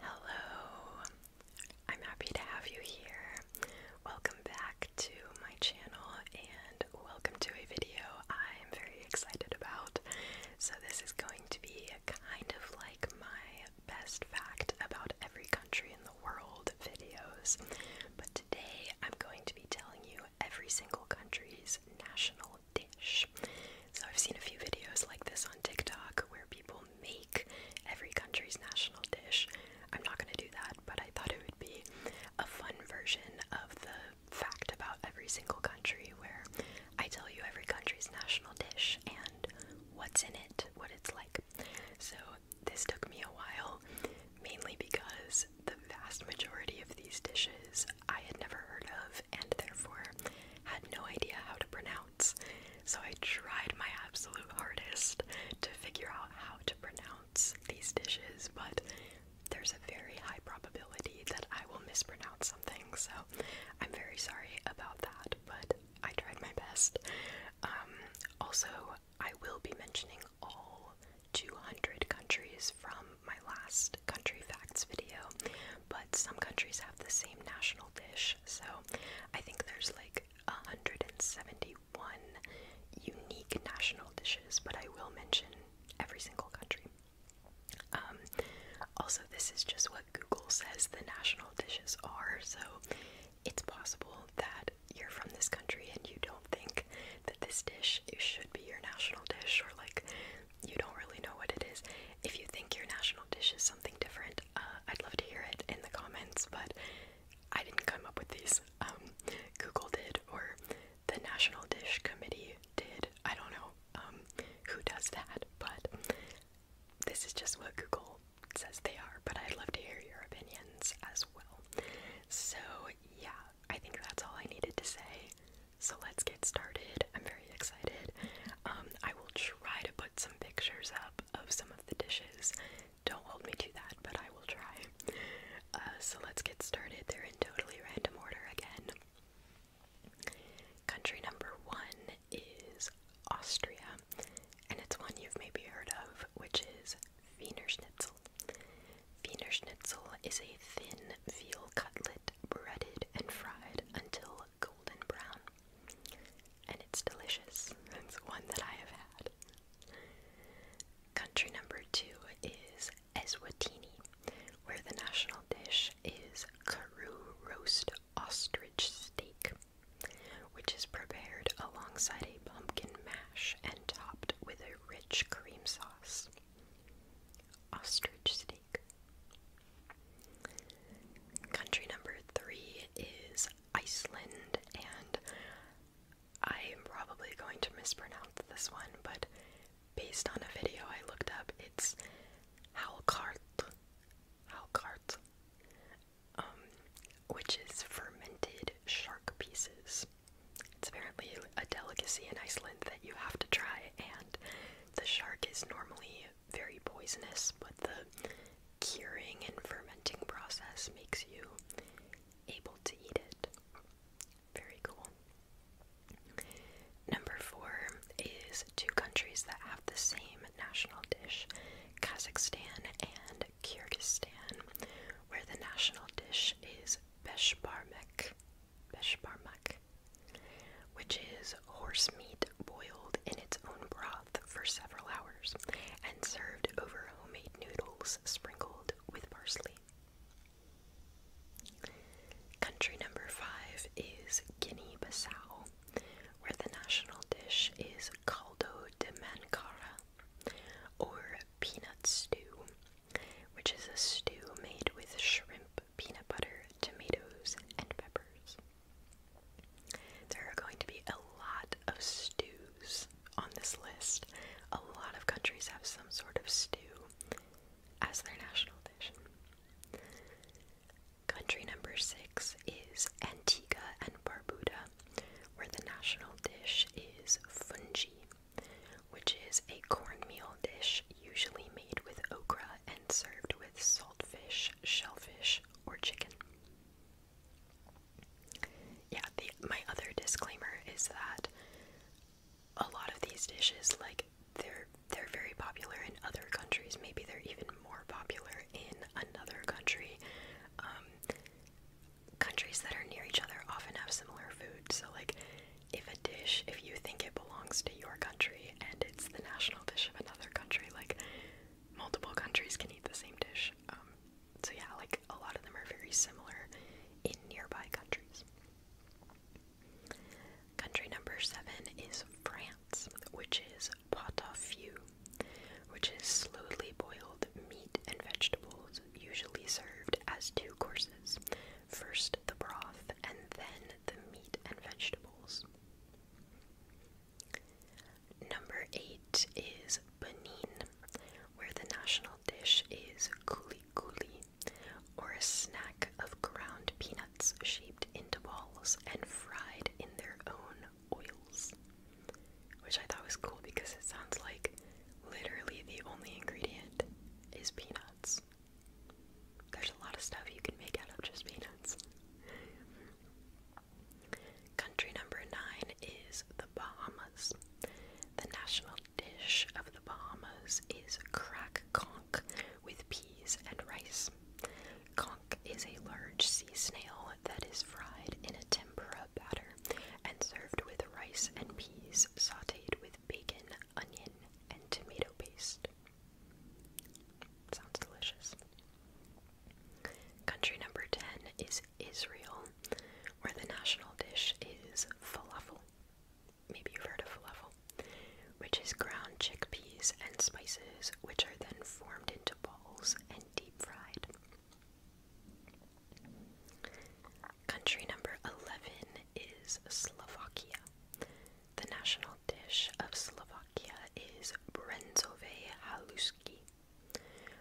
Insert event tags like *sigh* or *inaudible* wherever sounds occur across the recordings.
Hello, I'm happy to have you here. Welcome back to my channel and welcome to a video I'm very excited about. So, this is going to be kind of like my best fact about every country in the world videos, but today I'm going to be telling you every single country's national dish. So I've seen a few videos like this on TikTok where people make every country's national dish. I'm not going to do that, but I thought it would be a fun version of the fact about every single country where I tell you every country's national dish and what's in it, what it's like. So this took me a while, mainly because the vast majority of these dishes I had never heard of and therefore had no idea how to pronounce. So I tried my absolute hardest to figure out how to pronounce these dishes, but there's a very high probability that I will mispronounce something, so I'm very sorry about that, but I tried my best. Um, also, I will be mentioning all 200 countries from my last country facts video, but some countries have the same national dish so I think there's like 171 unique national dishes, but I will mention every single country. Um, also, this is just what Google says the national dishes are, so it's possible that you're from this country and you don't think that this dish should be your national dish, or like you don't really know what it is. If you think your national dish is something different, uh, I'd love to hear it in the comments, but I didn't come up with these. Um, Google did, or the National Dish Committee did. I don't know um, who does that, but this is just what Google says they are, but I'd love to hear your opinions as well. So, yeah, I think that's all I needed to say. So let's get started. I'm very excited. Um, I will try to some pictures up of some of the dishes. Don't hold me to that, but I will try. Uh, so let's get started. They're in totally random order again. Country number one is Austria, and it's one you've maybe heard of, which is Wiener Schnitzel. Wiener Schnitzel is a thin veal cutlet breaded and fried until golden brown and it's delicious. It's one that I have had. Country number two is Eswatini, where the national dish is Karoo roast ostrich steak, which is prepared alongside a pumpkin mash and topped with a rich cream sauce. Ostrich steak. Country number three is Iceland, and I am probably going to mispronounce this one, but based on a video I looked up, it's Halkart, Halkart, um, which is fermented shark pieces. It's apparently a delicacy in Iceland that you have to try, and the shark is normally very poisonous, but the curing and fermenting process makes you able to eat it. Very cool. Number four is two countries that have the same national dish Kazakhstan and Kyrgyzstan, where the national dish is beshbarmak, beshbarmak, which is horse meat boiled in its own broth for several hours and served over homemade noodles sprinkled with parsley. Country number five is Guinea Bissau, where the national dish is caldo de mancara, or peanut stew, which is a stew made with shrimp, peanut butter, tomatoes, and peppers. There are going to be a lot of stews on this list. A lot of countries have some sort of stew as their national dish. Country number six is Antigua and Barbuda, where the national dish is fungi, which is a cornmeal dish usually made with okra and served with saltfish, shellfish, or chicken. Yeah, my other disclaimer is that a lot of these dishes like they're they're very popular in other countries. Maybe they're even more popular in another country. Um, countries that are near each other often have similar food. So like if a dish if you think it belongs to your country and it's the national dish of another country like multiple countries can eat the same dish. Um, so yeah, like a lot of them are very similar in nearby countries. Country number seven is France, which is pot au feu, which is slowly boiled meat and vegetables, usually served as two courses. First the broth, and then the meat and vegetables. Number eight is Benin, where the national dish is kuli kuli, or a snack of ground peanuts shaped into balls and fried in their own oils. Which I thought was cool because it sounds like literally the only ingredient is peanuts. There's a lot of stuff you can make out of just peanuts. Country number nine is the Bahamas. The national dish of the Bahamas is crack conch with peas and rice. Conch is a large sea snail that is fried in a tempura batter and served with rice and peas sauteed with bacon, onion, and tomato paste. Sounds delicious. Country number 10 is Israel, where the national dish is falafel. Maybe you've heard of falafel, which is ground chickpeas and spices, which are then formed into balls and deep fried. Country number 11 is Slovakia. The national dish of Slovakia is brenzove halusky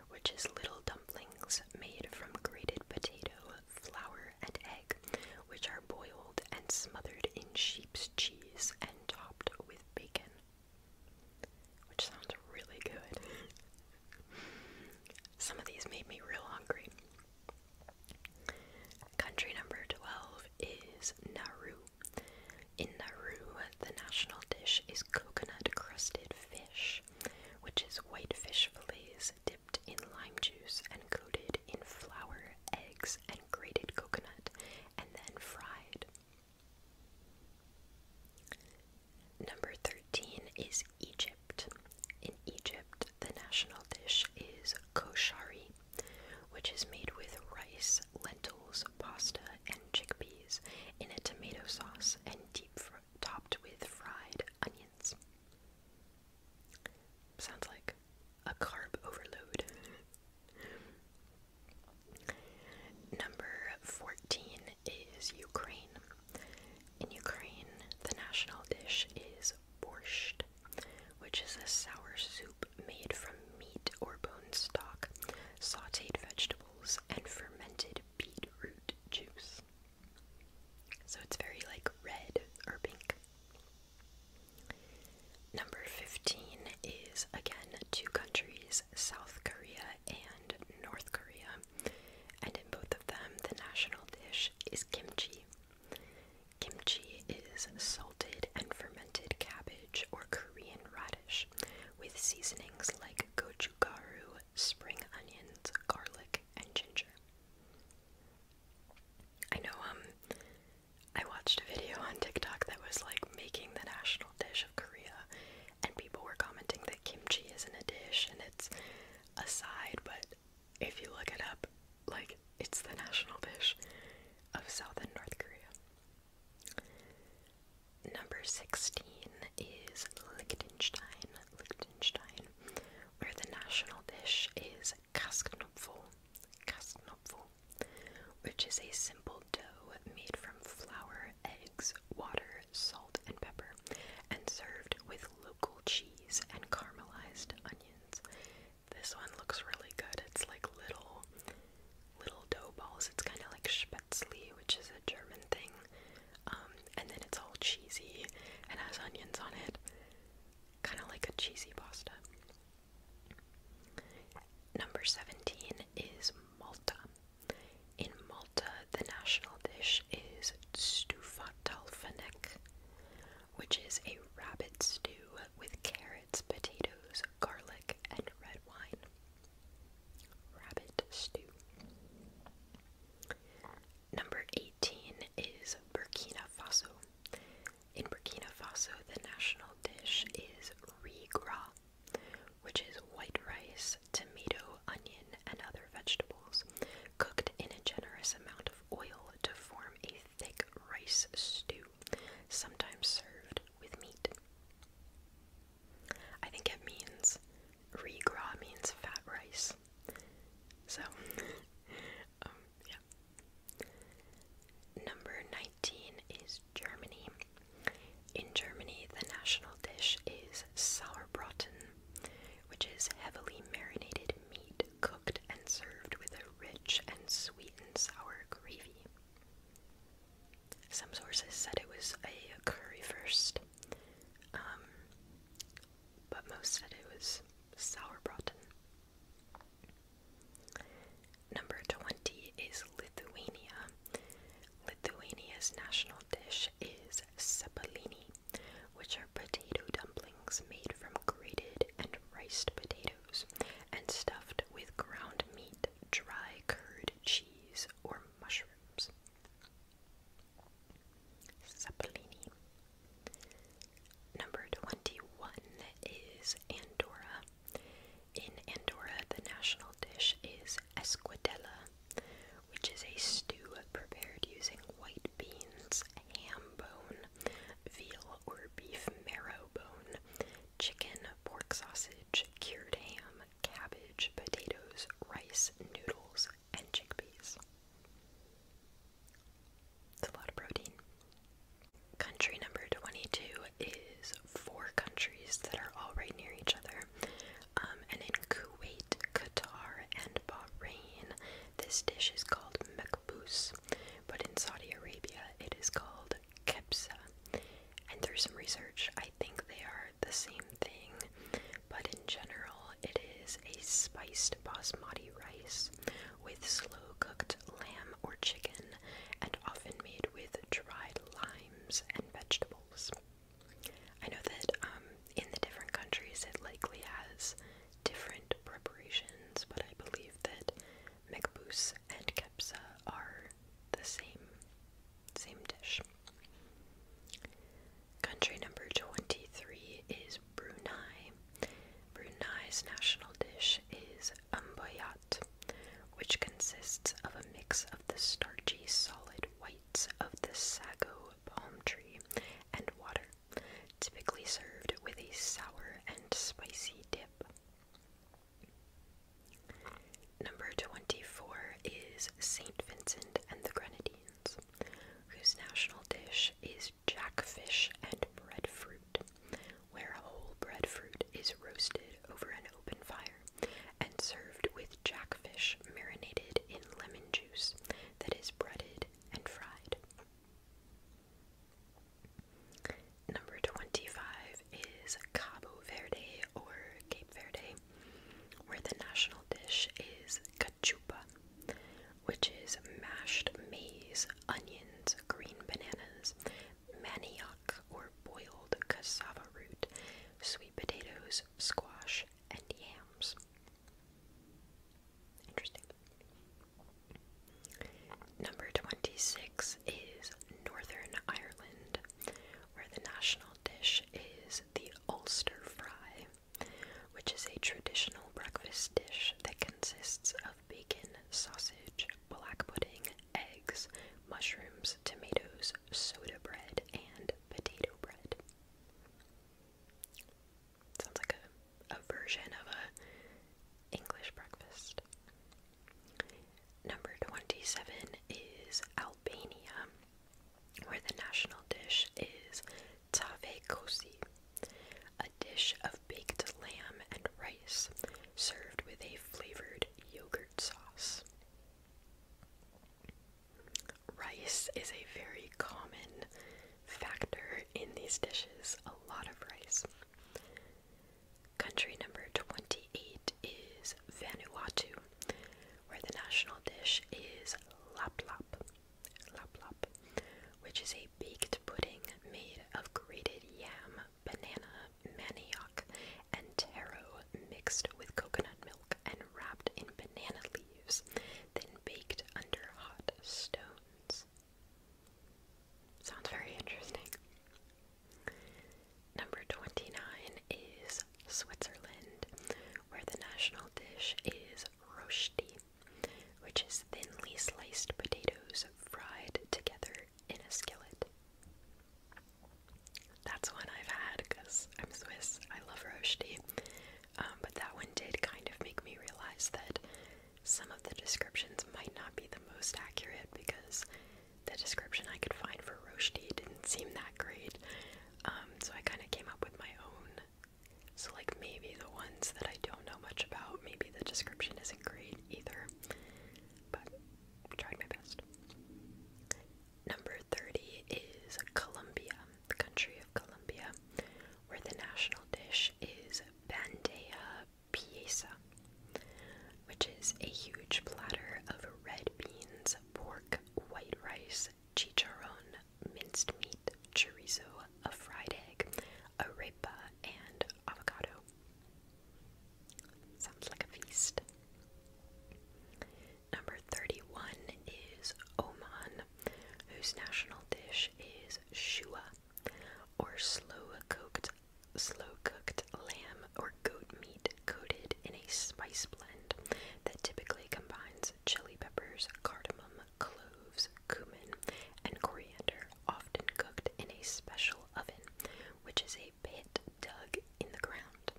which is little dumplings made from grated potato, flour, and egg, which are boiled and smothered in sheep's cheese and topped with bacon. Which sounds really good. Some of these made me real hungry. Country number 12 is Nauru. In Nauru, the national dish is coconut crusted fish, which is white fish fillets dipped in lime juice and coated in flour, eggs, and grated coconut, and then fried. Number 13 is Egypt. In Egypt, the national dish is koshari, which is made with rice, lentils, pasta, and chickpeas in a tomato sauce and deep topped with fried onions. Sounds like a carb overload. Number 14 is Ukraine. In Ukraine, the national dish is borscht, which is a sour soup made from meat or bone stock, sauteed vegetables and fermented beetroot juice. So it's very like red or pink. Number 15 is again two countries, South Korea and North Korea. And in both of them, the national dish is kimchi. Kimchi is salted and fermented cabbage or Korean radish, with seasonings like gochugaru, spring onions, garlic, and ginger. I know um, I watched a video on TikTok that was like making the national dish of Korea and people were commenting that kimchi isn't a dish and it's a side, but if you look it up, like it's the national dish of South and North Korea. Number 16 is Liechtenstein, Liechtenstein, where the national dish is Kastknopfel, Kastknopfel, which is a simple dough made from flour, eggs, water, salt, and pepper, and served with local cheese and caramelized onions. This one looks really good. It's like little little dough balls. It's kind of like spätzle, which is a German thing. Um, and then it's all cheesy and has onions on it. Kind of like a cheesy pasta. Number 17 is Malta. In Malta, the national dish is Stufa stufatalfenek, which is a rabbit stew with carrots, potatoes, garlic, and red wine. Rabbit stew. Number 18 is Burkina Faso. In Burkina Faso, the national dish is riz which is white rice, tomato, onion, and other vegetables cooked in a generous amount of oil to form a thick rice stew, sometimes served with meat. I think it means regra means fat rice. So, *laughs* um, yeah. Number 19 is Germany. In Germany, the national dish is Sauerbraten, which is heavily marinated meat cooked and served with a rich and sweet and sour gravy. Some sources said it was a curry first, um, but most said it was sauerbraten. Number 20 is Lithuania. Lithuania's national dish is sepalini, which are potato dumplings made from grated and riced potatoes and stuffed with ground meat, dry curd cheese, or mushrooms. Zeppelini. Number 21 is Andorra. In Andorra, the national dish is esquidella, which is a stew prepared using white beans, ham bone, veal or beef marrow bone, chicken, pork sausage, cured ham, cabbage, potatoes, rice, noodles, and chickpeas. It's a lot of protein. Country number 22 is four countries that are all right near each other. Um, and in Kuwait, Qatar, and Bahrain, this dish is called makbous, but in Saudi Arabia, it is called kebsa. And through some research, I think they are the same thing, but in general, it is a spiced basmati rice with slow cooked lamb or chicken and often made with dried limes and vegetables. I know that um, in the different countries it likely has different preparations, but I believe that mekbus and kepsa are the same. Same dish. Country number 23 is Brunei. Brunei's national dish is umbayat, which consists of a mix of the starchy solid whites of the sago palm tree and water, typically served with a sour and spicy dip. Number 24 is St. Vincent and the Grenadines, whose national dish is jackfish and breadfruit, where whole breadfruit is roasted over an open fire and served with jackfish marinated in lemon juice that is breaded and fried. Number 25 is Cabo Verde or Cape Verde, where the national dish is cachupa, which is mashed maize, onions, green bananas, manioc or boiled cassava root, sweet potatoes, squash, and yams. Interesting. Number 26 is Northern Ireland, where the national dish is the Ulster fry, which is a traditional breakfast dish that consists of bacon, sausage, black pudding, eggs, mushrooms, tomatoes, soda bread, and potato bread. Sounds like a, version of a English breakfast. Number 27 is Albania, where the national dish is tave kosi, a dish of baked lamb and rice served with a flavored yogurt sauce. Rice is a very common factor in these dishes, a lot of rice. Country number 28 is Vanuatu, where the national dish is laplap, laplap, which is a baked pudding made of grated yam, banana, manioc, and taro mixed with coconut milk and wrapped in banana leaves, then baked under hot stones. Sounds very interesting. Number 29 is Switzerland, where the national dish is rosti, which is thinly sliced potatoes fried together in a skillet. That's one I've had because I'm Swiss. I love rosti. Um, but that one did kind of make me realize that some of the descriptions might not be the most accurate because the description I could find for rosti didn't seem that great. Um, so I kind of came up with my own. So, like, maybe the ones that I don't know much about, maybe the description isn't great either. But I tried my best. Number 30 is Colombia, the country of Colombia, where the national dish is bandeja pieza, which is a huge platter of red beans, pork, white rice, chicharron, minced meat, chorizo, a fried egg, arepa, and avocado. Sounds like a feast. Number 31 is Oman, whose national dish is shua, or slow cooked slow cooked lamb or goat meat coated in a spice blend that typically combines chili peppers, cardamom, cloves, cumin, and coriander, often cooked in a special oven, which is a pit dug in the ground.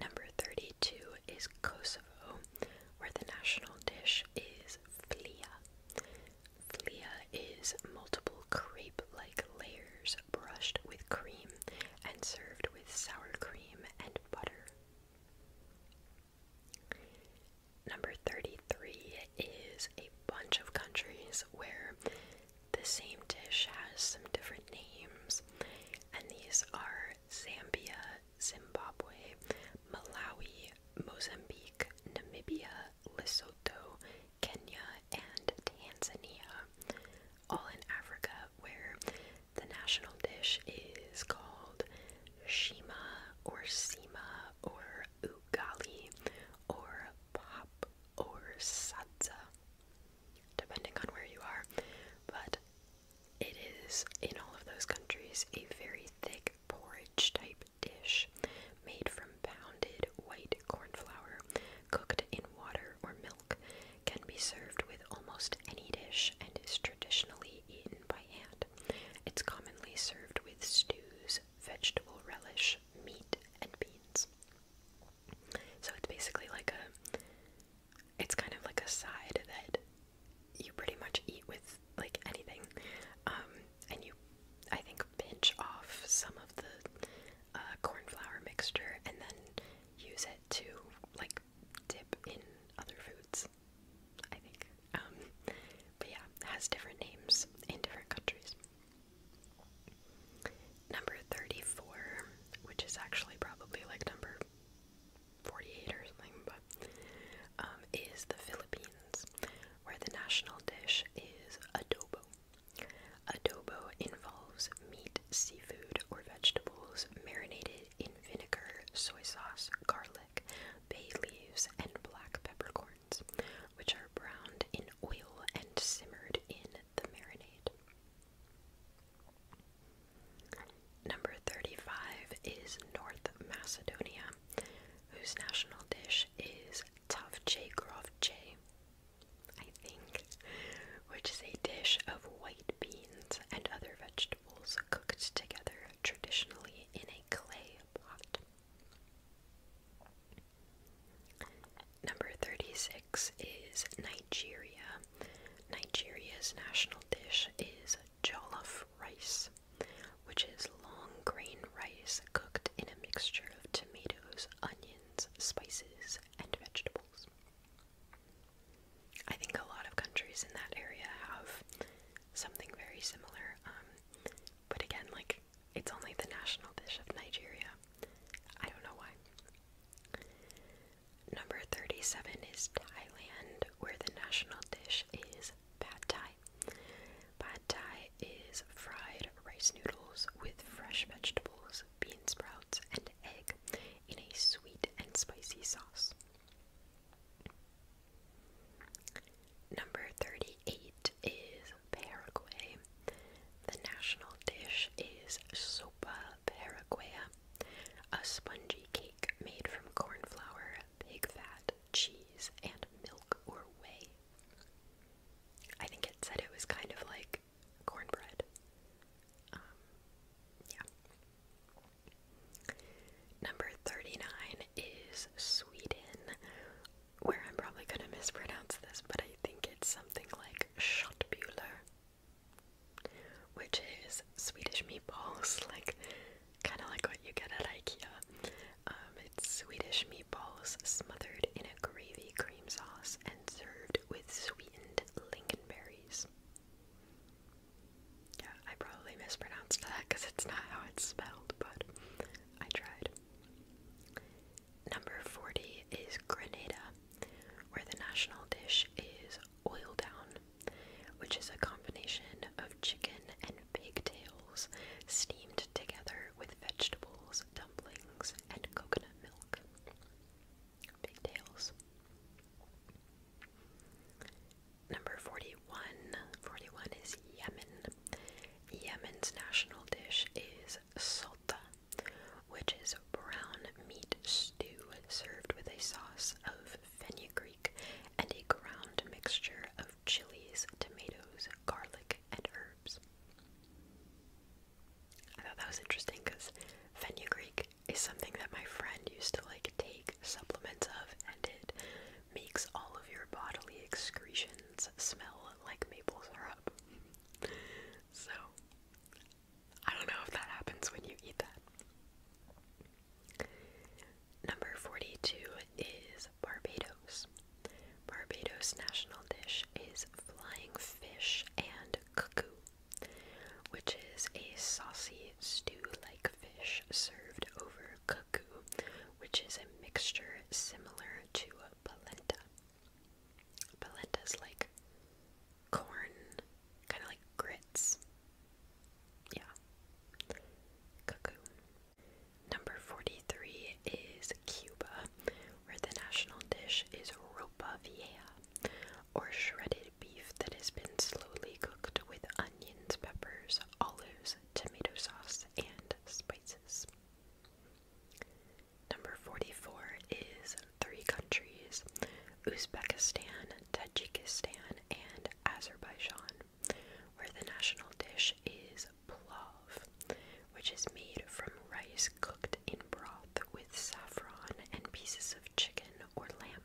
Number 32 is Kosovo, where the national dish is flia. Flia is multiple crepe like layers brushed with cream and served with sour cream and butter. Number 33 is a bunch of countries where the same dish has some different names, and these are Zambia, Zimbabwe, Malawi, Mozambique, Namibia, Lesotho, Kenya, and Tanzania all in Africa, where the national dish is called shima or sima or ugali or pop or sadza, depending on where you are. But it is in all of those countries a very thick porridge type dish made from pounded white corn flour cooked in water or milk can be served with almost any dish and is traditionally eaten by hand. It's commonly served with stews, vegetable relish, meat, and beans. So it's basically like a it's kind of like a side that you pretty much eat with like anything. Um and you I think pinch off some of the uh, corn flour mixture and then use it to like dip in other foods. I think. Um, but yeah, has different names in different countries. Number 34, which is actually probably like number 48 or something, but um, is the Philippines, where the national dish is adobo. Adobo involves meat, seafood, or vegetables marinated in vinegar, soy sauce, garlic, bay leaves, and black peppercorns, which are browned in oil and simmered in the marinade. Number 35 is North Macedonia, whose national dish is tavche grovce, I think, which is a dish of white beans and other vegetables cooked together traditionally in a clay pot. Number 36 is Nigeria. Nigeria's national dish is jollof rice, which is long grain rice cooked in a mixture of tomatoes, onions, spices, and vegetables. I think a lot of countries in that area have something very similar, um, but again, like, it's only the national dish of Nigeria. I don't know why. Number 37 is Thailand, where the national dish is pad thai. Pad thai is fried rice noodles with fresh vegetables, bean sprouts, and egg in a sweet and spicy sauce. Number 38 is Paraguay. The national dish is sopa paraguaya, a spongy cake made from corn flour, pig fat, cheese, and milk or whey. I think it said it was kind of like cornbread. Um, yeah. Number 39 is Sweden, where I'm probably going to mispronounce this, but I think it's something like Schottbühler, which is Swedish meatballs, *laughs* like kind of like what you get at IKEA. Um, it's Swedish meatballs smothered in a gravy cream sauce and served with sweetened and Yeah, I probably mispronounced that because *laughs* it's not how it's spelled, but I tried. Number 40 is Grenada, where the national dish is oil down, which is a combination of chicken and pig tails, steamed together with vegetables, dumplings, and coconut milk pigtails. Number 41. 41 is Yemen. Yemen's national dish is salta, which is brown meat stew served with a sauce of fenugreek and a ground mixture of chilies, tomatoes, garlic, and herbs. I thought that was interesting because fenugreek is something that my friend used to like take supplements of, and it makes all of your bodily excretions smell like maple syrup. so, I don't know if that happens when you eat that. Number 42 is Barbados. Barbados' national dish is flying fish and cuckoo which is a saucy stew-like fish served over cuckoo, which is a mixture similar to polenta. Polenta's like corn, kind of like grits. Yeah. Cuckoo. Number 43 is Cuba, where the national dish is ropa or shredded beef that has been slowly cooked with onions, peppers, olives, tomato sauce, and spices. Number 44 is three countries Uzbekistan, Tajikistan, and Azerbaijan, where the national dish is plov, which is made from rice cooked in broth with saffron and pieces of chicken or lamb.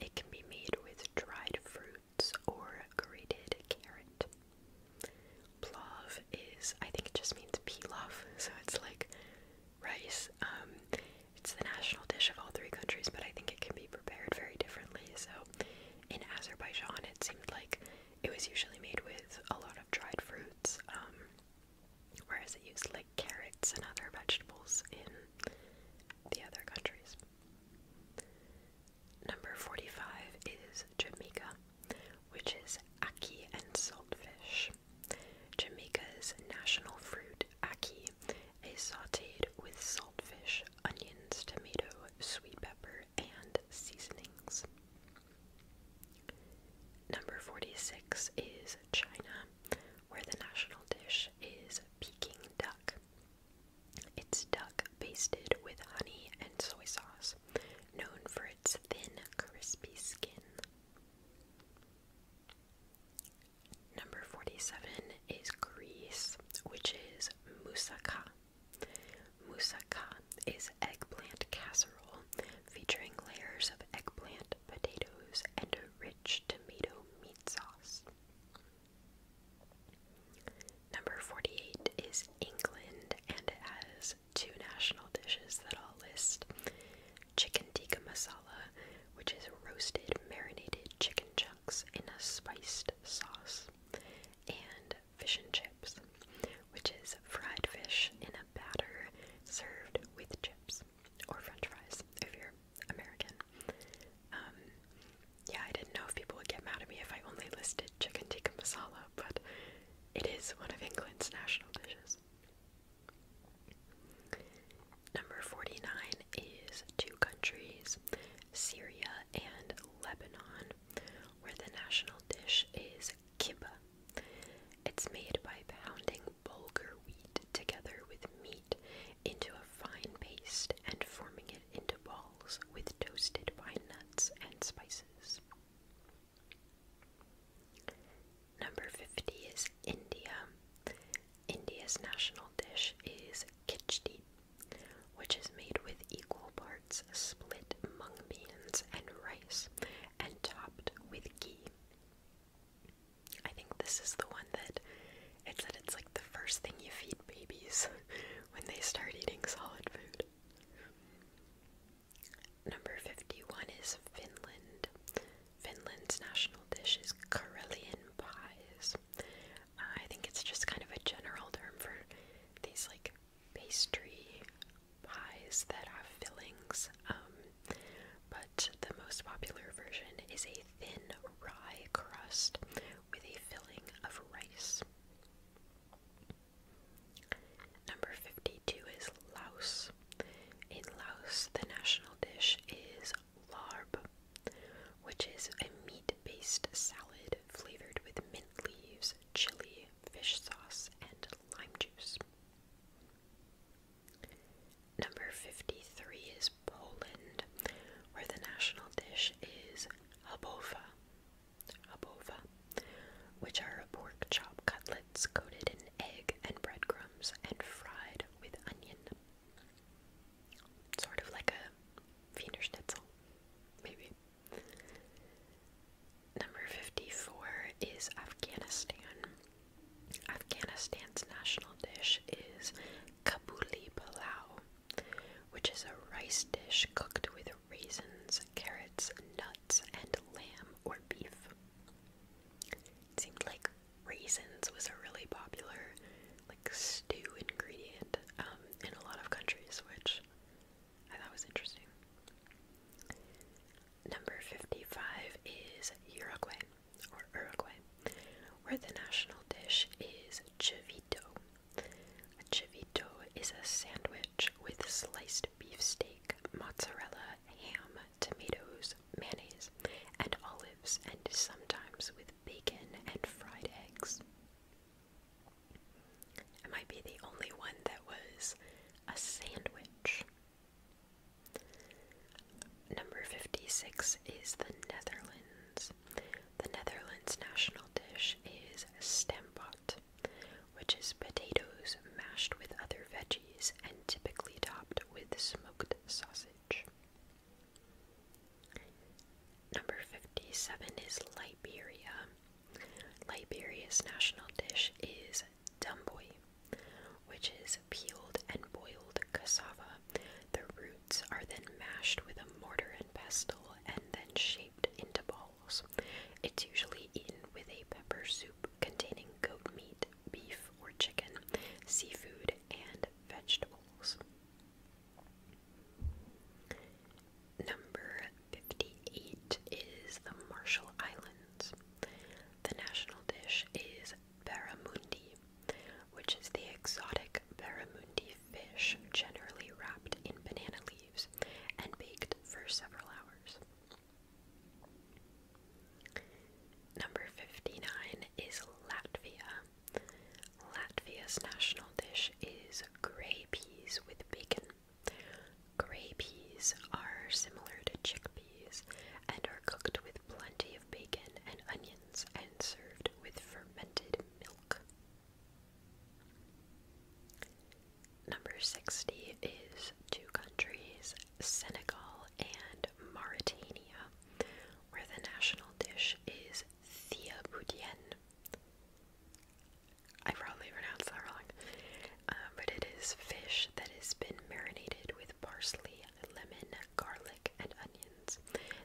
It can be made with dried fruits or grated carrot. Plov is, I think it just means pilaf, so it's like rice. Um, it's the national dish of all three countries, but I think it can be prepared very differently. So in Azerbaijan, it seemed like it was usually made with a lot of dried fruits. Um, whereas it used like carrots and other vegetables in the other countries. Number 45 is Jamaica, which is ackee and saltfish. Jamaica's national fruit, ackee, is sauteed with saltfish, onions, tomato, sweet pepper, and seasonings. Number 46 is China, where the national dish is Peking duck. It's duck basted with honey and soy sauce, known for its thin, crispy skin. Number 47 is Greece, which is moussaka. Moussaka is eggplant casserole featuring layers of eggplant potatoes, and a rich tomato meat sauce. Number 48 is England, and it has two national dishes that I'll list chicken tikka masala, which is roasted marinated chicken chunks in a spiced sauce, and fish and chips, which is fried fish in a batter served with chips or french fries if you're American. Um, yeah, I didn't know if people would get mad at me if I only listed chicken tikka masala, but it is one of England's national dishes. Number 49 is two countries, Syria and Lebanon, where the national dish is kibbeh. It's made by pounding bulgur wheat together with meat into a fine paste and forming it into balls with toasted pine nuts and spices. Number 50 is India. India's national dish is khichdi, which is made with equal parts split mung beans and rice and topped with ghee. I think this is the one that it said it's like the first thing you feed babies *laughs* when they start eating solid food. Number 51 is Finland. Finland's national dish is Karelian pies. Uh, I think it's just kind of a general term for these like pastry pies that are fillings. Um, but the most popular version is a thin rye crust with a filling of rice. Number 52 is Laos. In Laos, the national dish is larb, which is a meat based salad flavored with mint leaves, chili, fish sauce, and lime juice. Number 53 is Poland, where the national dish is habowa, habowa, which are pork chop cutlets coated in egg and breadcrumbs and fried with onion. Sort of like a Wiener maybe. Number 54 is Afghanistan, Afghanistan's national dish is Kabuli Palau, which is a rice dish cooked with raisins, carrots, nuts, and lamb or beef. It seemed like raisins was a really popular like stew ingredient um, in a lot of countries, which I thought was interesting. Number 55 is Uruguay or Uruguay, where the national dish is chivito. A chivito is a sandwich with sliced beef steak, mozzarella, ham, tomatoes, mayonnaise, and olives, and sometimes with bacon and fried eggs. I might be the only one that was a sandwich. Number 56 is the Netherlands. The Netherlands national dish is stamppot, which is potatoes mashed with other veggies and typically topped with smoked sausage. Number 57 is Liberia. Liberia's national dish is dumboi, which is peeled and boiled cassava. The roots are then mashed with a mortar and pestle and then shaped into balls. It's usually eaten with a pepper soup containing goat meat, beef or chicken, seafood, and vegetables. Number 58 is the Marshall Islands. The national dish is barramundi, which is the exotic barramundi fish generally wrapped in banana leaves and baked for several hours. Number 59 is Latvia. Latvia's national dish is gray peas with bacon. Gray peas are similar to chickpeas and are cooked with plenty of bacon and onions and served with fermented milk. Number 60 is two countries, Senegal and Mauritania, where the national dish is Thiaboudienne. I probably pronounced that wrong, uh, but it is fish that has been marinated with parsley lemon, garlic, and onions,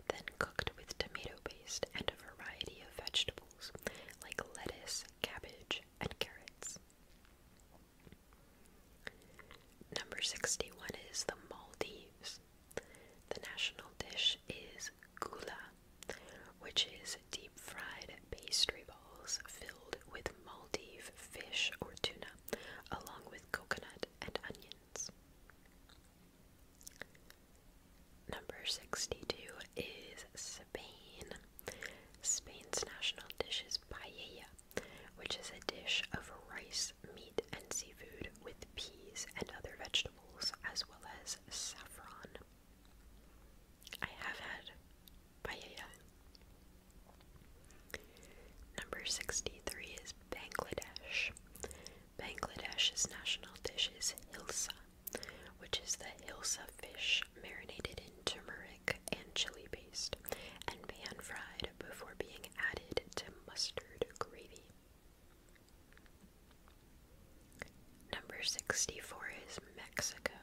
then cooked with tomato paste and a variety of vegetables like lettuce, cabbage, and carrots. Number 61 is the Maldives. The national dish is gula, which is deep fried pastry balls filled with Maldive fish or tuna, along with coconut and onions. Number 62 is Spain. Spain's national dish is paella, which is a dish of rice, meat, and seafood with peas and other vegetables, as well as saffron. I have had paella. Number 63 is Bangladesh. Bangladesh's national dish is hilsa, which is the hilsa fish marinated in turmeric and chili paste and pan fried before being added to mustard gravy. Number 64 is Mexico.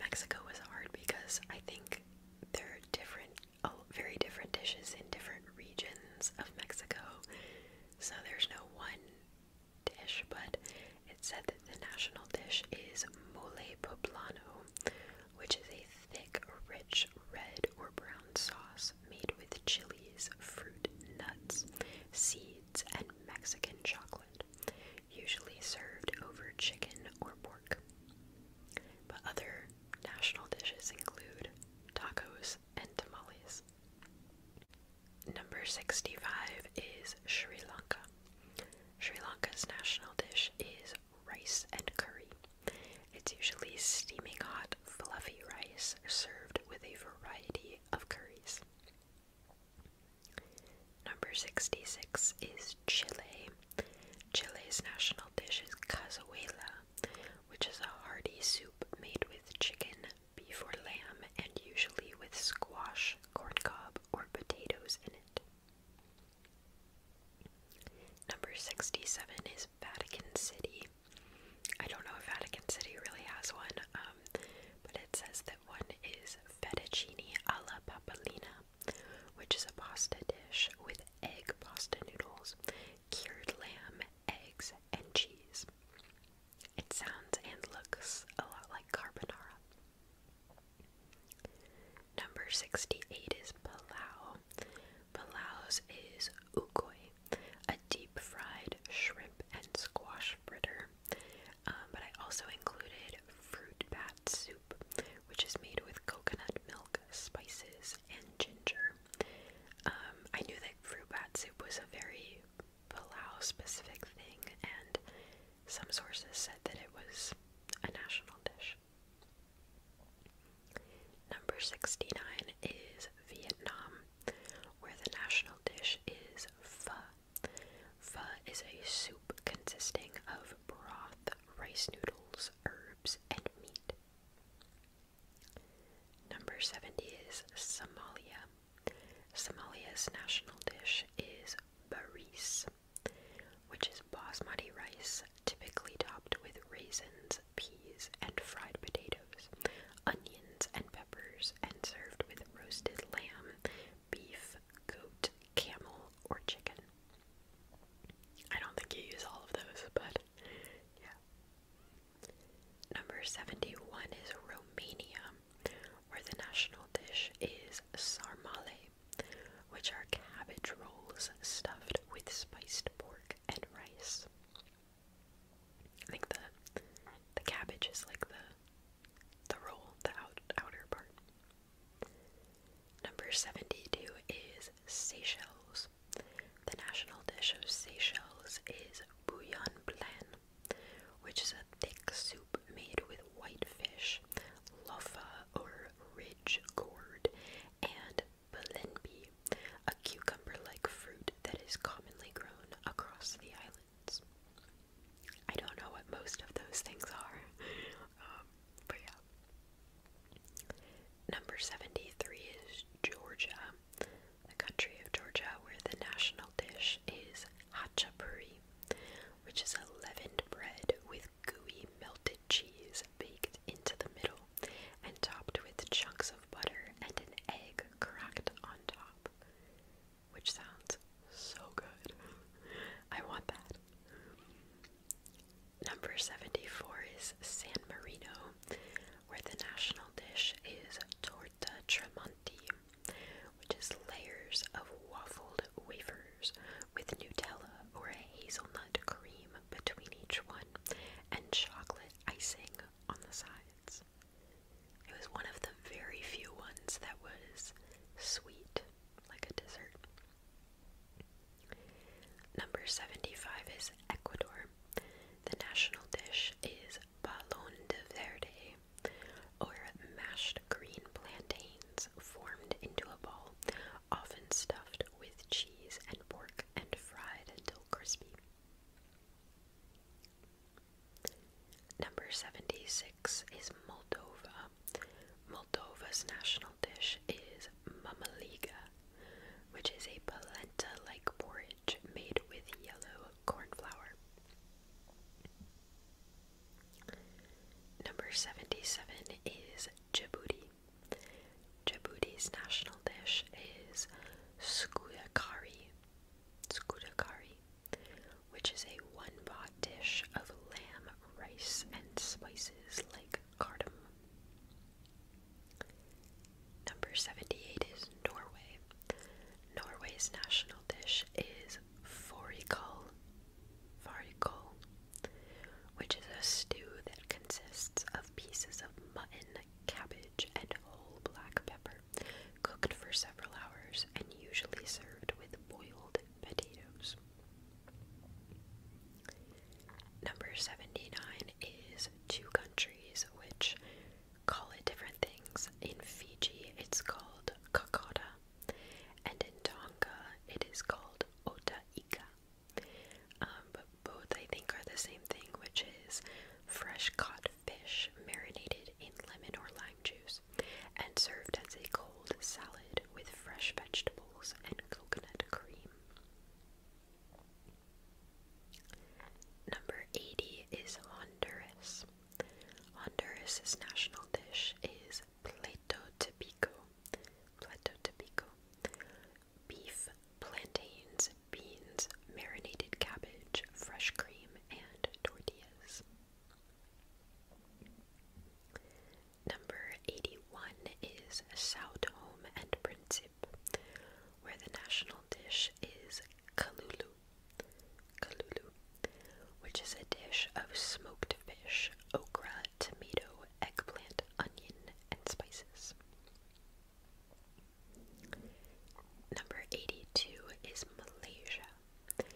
Mexico was hard because I think they are different very different dishes in different regions of Mexico. So there's no one dish, but it's said that the national dish is mole poblano, which is a thick, rich red or brown sauce made with chilies, fruit, nuts, seeds, and Mexican chocolate, usually served over chicken or pork. But other National dishes include tacos and tamales. Number 65 is Sri Lanka. Sri Lanka's national dish is rice and curry. It's usually steaming hot, fluffy rice served with a variety of curries. Number 66 is Chile. Chile's national dish is cazuela, which is a hearty soup made with chicken, beef or lamb, and usually with squash, corn cob, or potatoes in it. Number 67 is Vatican City. I don't know if Vatican City really has one, um, but it says that one is fettuccine alla papalina which is a pasta dish with egg pasta noodles, cured lamb, eggs, and cheese. It sounds and looks a lot like carbonara. Number 68 is palau. Palau's is ukoi, a deep fried shrimp and squash fritter. Um, but I also included fruit bat soup, which is made with coconut milk, spices, and ginger. Um, I knew that fruit bat soup was a very Palau specific thing, and some sources said that it was a national dish. Number 69 is Vietnam, where the national dish is pho. Pho is a soup consisting of broth, rice noodles, herbs, and meat. Number 70 is Somalia. Somalia's national dish is baris, which is basmati rice typically topped with raisins, peas, and fried potatoes, onions, and peppers, and served with roasted lamb, beef, goat, camel, or chicken. I don't think you use all of those, but yeah. Number 71 is Romania, where the national dish is sarmale, which are cabbage rolls stuffed with spiced pork and rice. I think the the cabbage is like the the roll, the out, outer part. Number 72 is Seychelles. The national dish of Seychelles is bouillon blanc, which is a thick soup made with white fish, loffa or ridge gourd, and balenbi, a cucumber like fruit that is commonly grown across the islands. I don't know what most of those things are, *laughs* um, but yeah. Number 73 is Georgia, the country of Georgia where the national dish is hachapuri, which is a leavened bread with gooey melted cheese baked into the middle and topped with chunks of butter and an egg cracked on top, which sounds so good. *laughs* I want that. Number 74 is San Marino, where the national dish is torta tramonti, which is layers of waffled wafers with Nutella or hazelnut cream between each one and chocolate icing on the sides. It was one of the very few ones that was sweet, like a dessert. Number 75 is Ecuador. The national dish is balon de verde, or mashed green plantains formed into a ball, often stuffed with cheese and pork and fried until crispy. Number 76 is Moldova. Moldova's national dish is mamaliga, which is a polenta like porridge made with yellow corn flour. Number 77 is Djibouti. Djibouti's national dish is skudakari, skudakari, which is a one-pot dish of lamb, rice, and spices like cardamom. Number 78 is Norway. Norway's national dish is fårikål, which is a stew that consists of pieces of mutton, cabbage, and whole black pepper, cooked for several hours and usually served with boiled potatoes. Number 79 is two countries which call it different things. In Fiji, it's called Kakota, and in Tonga, it is called Otaika. Um, both, I think, are the same thing, which is fresh caught fish marinated in lemon or lime juice and served as a cold salad with fresh vegetables and coconut cream. Number 80 is Honduras. Honduras' national dish is plato tipico. Plato tipico. Beef, plantains, beans, marinated cabbage, fresh cream, and tortillas. Number 81 is South Home and Principe where the national dish is kalulu, kalulu, which is a dish of smoked fish, okra, tomato, eggplant, onion, and spices. Number 82 is Malaysia.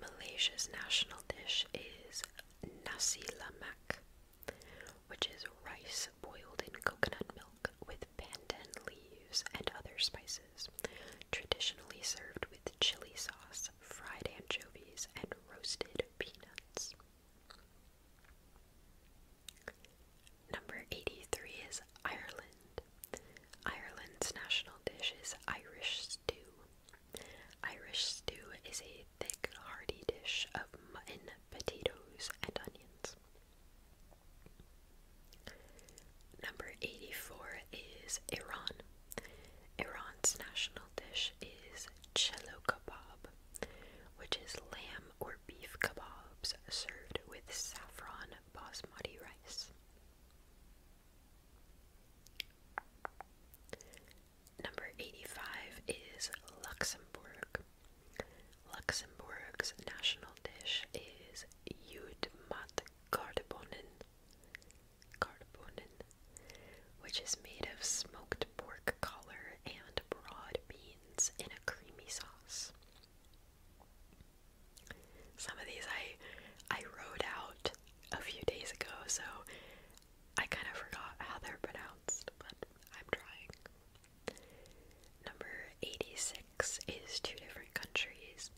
Malaysia's national dish is nasi lemak, which is rice boiled in coconut milk with pandan leaves and other spices, traditionally served with chili sauce, fried anchovies, and roasted peanuts. Number 83 is Ireland. Ireland's national dish is Irish stew. Irish stew is a thick, hearty dish of mutton, potatoes, and onions. Number 84 is Iran. Iran's national dish is chelo kebab, which is lamb or beef kebabs served with saffron basmati rice. Number 85 is Luxembourg. Luxembourg's national dish is Oud mat karbonen, which is made of smoked pork collar and broad beans in a creamy sauce. Some of these I I wrote out a few days ago, so I kind of forgot how they're pronounced, but I'm trying. Number 86 is two different countries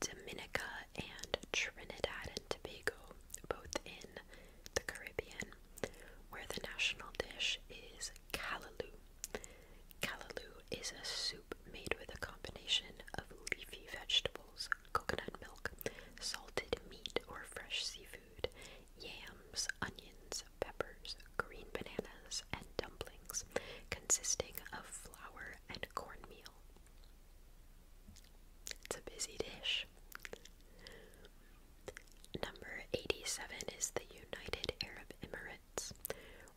Dominica and Trinidad and Tobago, both in the Caribbean, where the national dish is callaloo. Callaloo is a soup made with a combination of leafy vegetables, coconut milk, salted meat or fresh seafood, yams, onions, peppers, green bananas, and dumplings consisting of flour and cornmeal. It's a busy dish. Number 87 is the United Arab Emirates,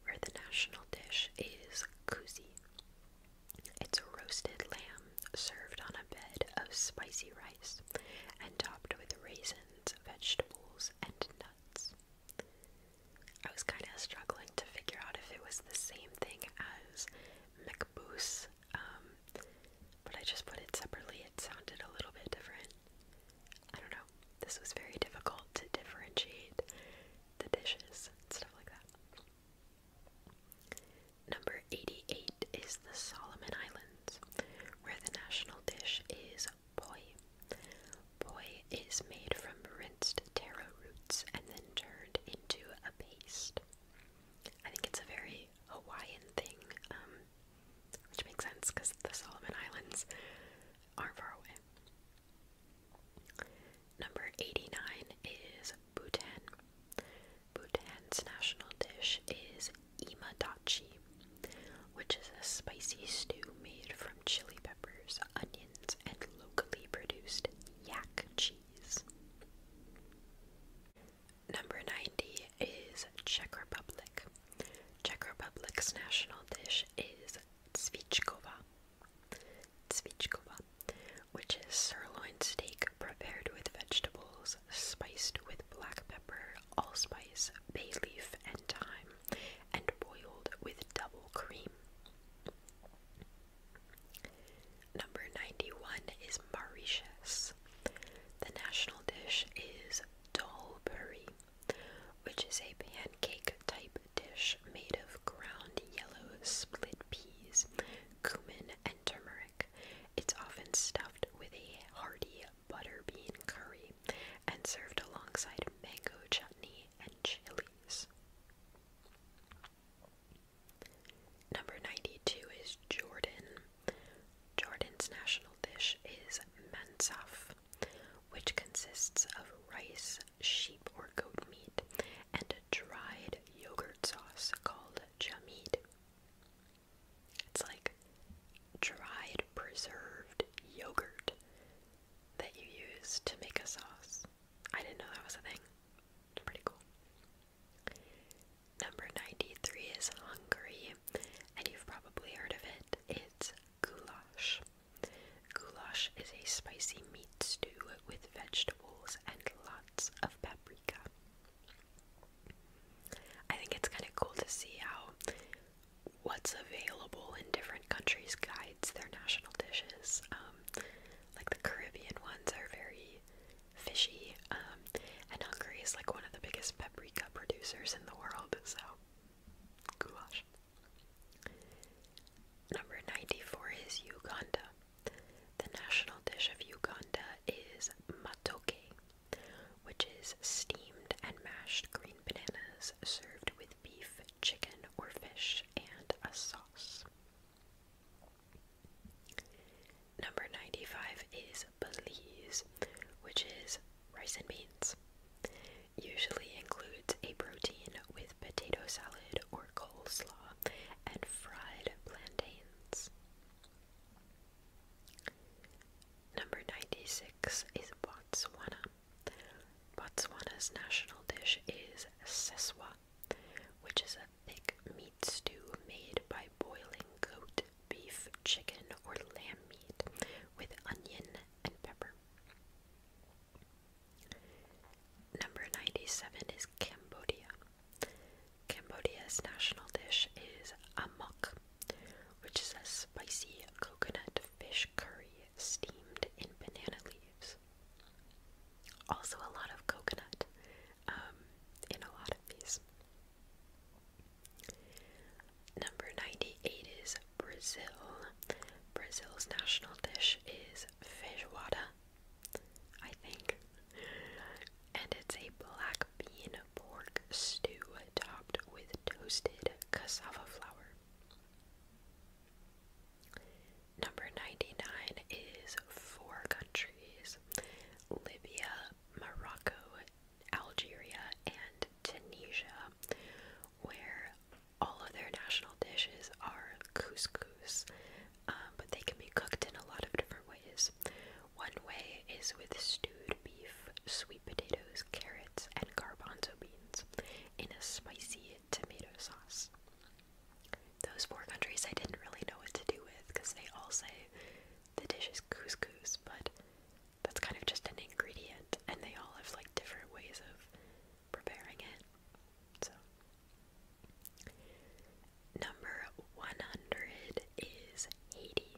where the national dish is kousi. It's roasted lamb served on a bed of spicy rice and topped with raisins vegetables, and nuts. I was kind of struggling to figure out if it was the same thing as McBoose, um, but I just put it separately. It sounded a little bit different. I don't know. This was very difficult to differentiate the dishes and stuff like that. Number 88 is the Solomon Islands, where the national dish is poi. Poi is made from rinsed taro roots and then turned into a paste. I think it's a very Hawaiian thing, um, which makes sense because the Solomon Islands aren't far away. Number 89 is Bhutan. Bhutan's national dish is imadachi, which is a spicy stew made from chili peppers, onions, and locally produced yak cheese. Number 90 is Czech Republic. Czech Republic's national dish is cvičkova. Cvičkova, which is sirloin steak prepared with vegetables, spiced with black pepper, allspice, bay leaf, and thyme and boiled with double cream. Number 91 is Mauritius. The national dish is dal buri, which is a pancake type dish made of ground yellow split peas, cumin, and turmeric. It's often stuffed with a hearty butter curry and served alongside mango chutney and chilies. Number 92 is Jordan. Jordan's national dish is mansaf, which consists of rice, sheep or goat meat, and a dried yogurt sauce called jamid. It's like dried preserved yogurt that you use to make a sauce. I didn't know that was a thing. pretty cool. Number 93 is Hungary, and you've probably heard of it. It's goulash. Goulash is a spicy meat stew with vegetables and lots of paprika. I think it's kind of cool to see how what's available in different countries guides their national dishes. Um, like the Caribbean ones are very fishy, um, and Hungary is like one of the biggest paprika producers in the world, so goulash. Number 94 is Uganda. The national dish of Uganda is matooke which is steamed and mashed green bananas served with beef, chicken, or fish, and a sauce. Number 95 is Belize, which is rice and beans. Usually includes a protein with potato salad or coleslaw and fried plantains. Number 96 is Botswana, Botswana's national dish is seswa, which is a thick meat stew made by boiling goat, beef, chicken, or lamb meat with onion and pepper. Number 97 is Cambodia. Cambodia's national dish is amok, which is a spicy coconut fish curry steamed in banana leaves. Also, a lot of coconut um, in a lot of these. Number 98 is Brazil. Brazil's national dish is feijoada, I think, and it's a black bean pork stew topped with toasted cassava flour. Number 99 is four countries Libya, Morocco, Algeria, and Tunisia, where all of their national dishes are couscous, um, but they can be cooked in a lot of different ways. One way is with stewed beef, sweet potatoes, carrots, and garbanzo beans in a spicy tomato sauce. Those four countries I didn't really know what to do with because they all say the dish is couscous, but that's kind of just an ingredient, and they all have like different ways of preparing it. So, number 100 is eighty.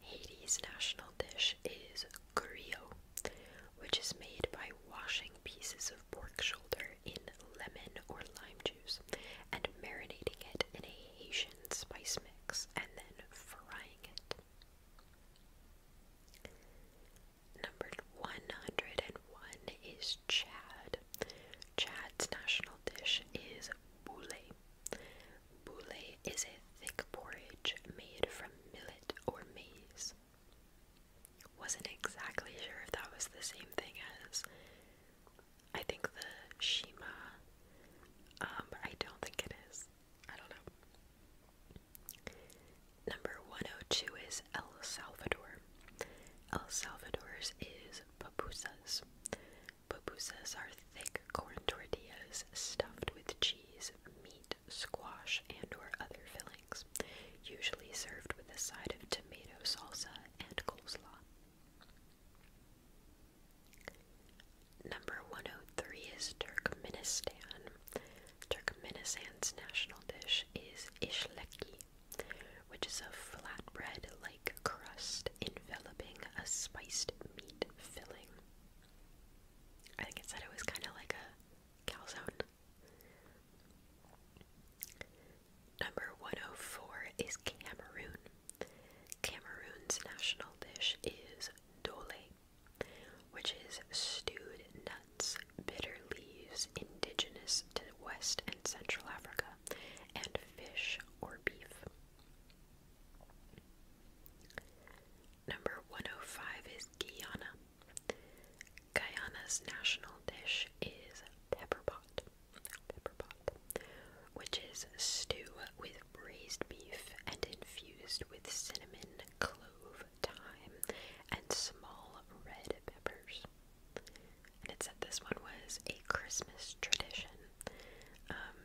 Haiti's national dish is gurio, which is made by washing pieces of pork shoulder in lemon or lime juice and marinating it in a Haitian spice mix and then frying it. Number 101 is Chad. Chad's national dish is boule. Boule is a thick porridge made from millet or maize. Wasn't exactly sure if that was the same thing as I think the Shima, um, I don't think it is. I don't know. Number 102 is El Salvador. El Salvador's is pupusas. Pupusas are thick corn tortillas stuffed with cheese, meat, squash, and or other fillings, usually served with a side of tomato salsa and coleslaw. Number 103 is Turkmenistan. Turkmenistan's national dish is ishleki, which is a flatbread-like crust enveloping a spiced meat filling. I think it said it was kind of like a calzone. Number 104 is Cameroon. Cameroon's national dish is dole, which is stewed nuts, bitter leaves indigenous to West and Central Africa, and fish or beef. Number 105 is Guyana. Guyana's national dish is pepperpot, pot, which is stew with braised beef and infused with cinnamon, clove, thyme, and small red peppers. And it said this one was a Christmas tradition. Um,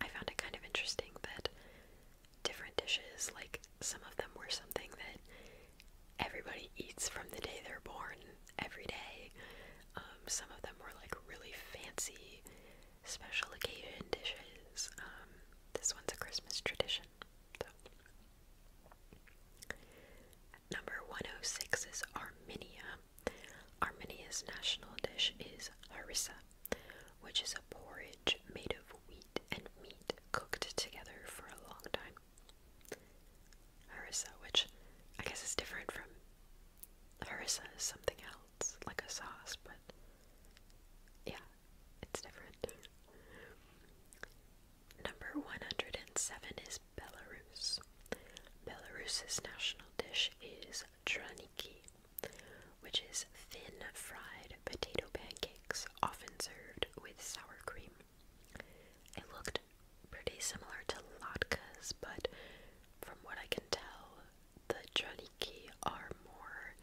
I found it kind of interesting that different dishes. Like some of them were something that everybody eats from the day they're born every day. Um, some of them were like really fancy special occasion dishes. Um, this one's a Christmas tradition. Number 106 is Armenia. Armenia's national dish is harissa, which is a porridge made of wheat and meat cooked together for a long time. Harissa, which I guess is different from harissa something else, like a sauce, but yeah, it's different. Number 107 is Belarus. Belarus's national dish is draniki which is thin fried potato pancakes often served with sour cream. It looked pretty similar to latkes, but from what I can tell, the janiki are more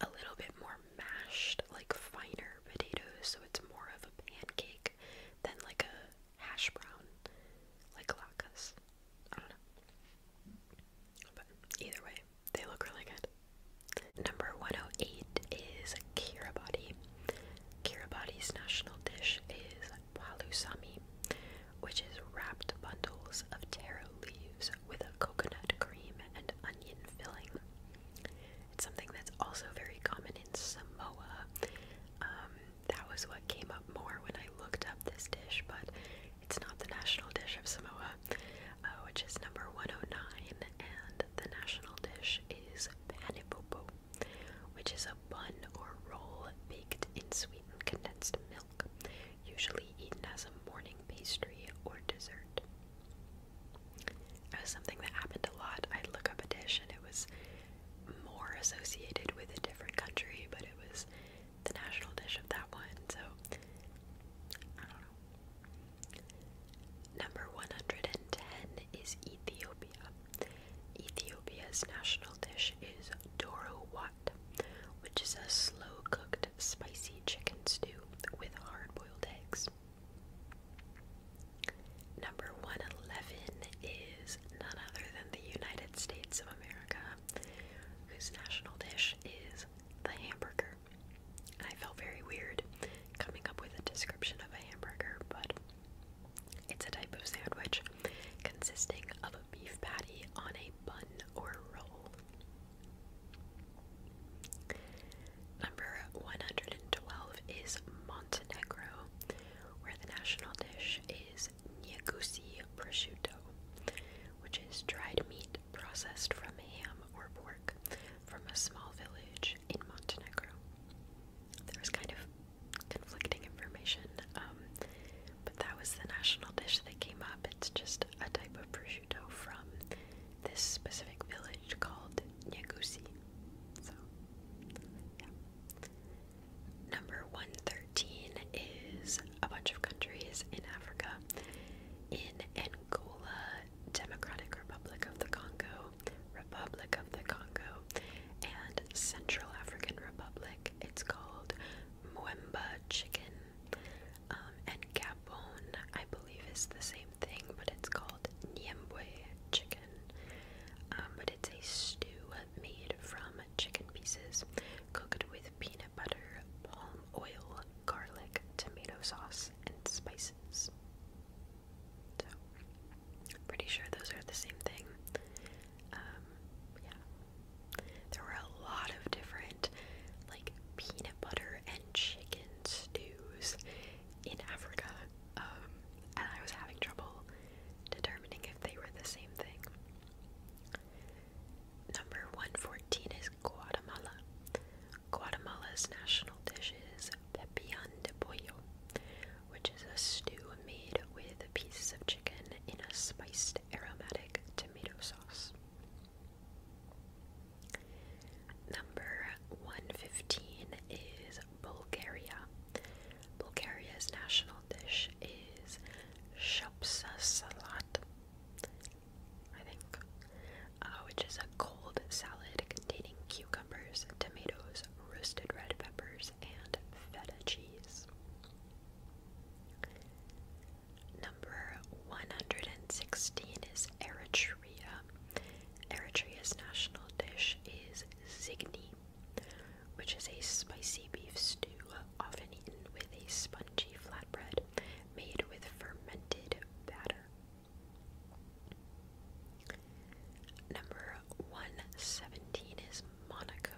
a little bit more mashed, like finer potatoes, so it's more of a pancake than like a hash brown, like latkes. I don't know. But either way, they look really good. Number 108 is Kiribati. Kiribati's national dish is palusami, which is wrapped bundles of taro leaves with a coconut cream and onion filling. It's something that's also very common in Samoa. Um, that was what came up more when I looked up this dish, but it's not the national dish of Samoa, uh, which is number 109, and the national dish is panipopo, which is a bun or roll baked in sweetened condensed milk, usually eaten as a morning pastry or dessert. It was something that happened a lot. I'd look up a dish and it was more associated with a different country, but it was the national dish of that one, so I don't know. Number 110 is Ethiopia. Ethiopia's national dish is doro wat, which is a slow cooked spicy chicken stew with hard boiled eggs. Number 111 is none other than the United States of America, whose national dish is the hamburger. I felt very weird coming up with a description of a hamburger, but it's a type of sandwich consisting of a beef patty on a bun or roll. Number 112 is Montenegro, where the national dish is Niagusi prosciutto, which is dried meat processed from ham or pork from a small village in Montenegro. There was kind of conflicting information, um, but that was the national dish that came up. It's just a type of prosciutto from this specific village called Nyagusi. So, yeah. Number 113 is a bunch of countries in Africa in Angola, Democratic Republic of the Congo, Republic of the Congo, and Central African Republic. It's called Mwemba chicken. Um, and Gabon, I believe, is the same thing, but it's called Nyembwe chicken. Um, but it's a stew made from chicken pieces cooked with peanut butter, palm oil, garlic, tomato sauce, and spices. pretty sure those are the same thing. Um, yeah. There were a lot of different, like, peanut butter and chicken stews in Africa. Um, and I was having trouble determining if they were the same thing. Number 114 is Guatemala, Guatemala's national dish is pepillan de pollo, which is a stew made with pieces of chicken in a spiced aromatic tomato sauce. Number 115 is Bulgaria. Bulgaria's national dish is shapsa salat, I think, uh, which is a cold salad containing cucumbers, tomatoes, roasted red peppers, and feta cheese. Number 116 is Eritrea. Eritrea's national dish is zigni, which is a spicy beef stew often eaten with a spongy flatbread made with fermented batter. Number 117 is Monaco.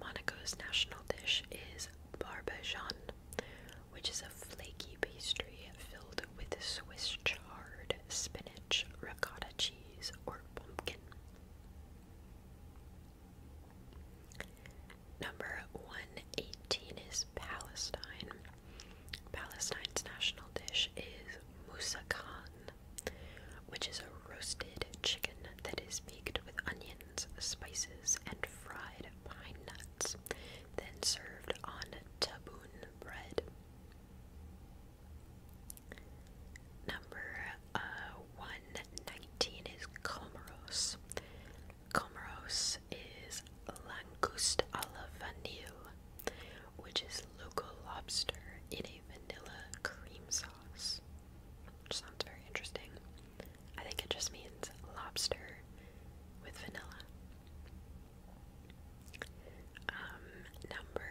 Monaco's national dish is barbajan, which is a flaky pastry filled with Swiss chard, spinach, ricotta cheese, or pumpkin. Number 118 is Palestine. Palestine's national dish is musakhan, which is a roasted chicken that is baked with onions, spices, and fried pine nuts, then served on taboon bread. Number uh, 119 is Comoros. Comoros is langoust à la vanille, which is local lobster in a vanilla cream sauce. Which sounds very interesting. I think it just means lobster with vanilla. Um, number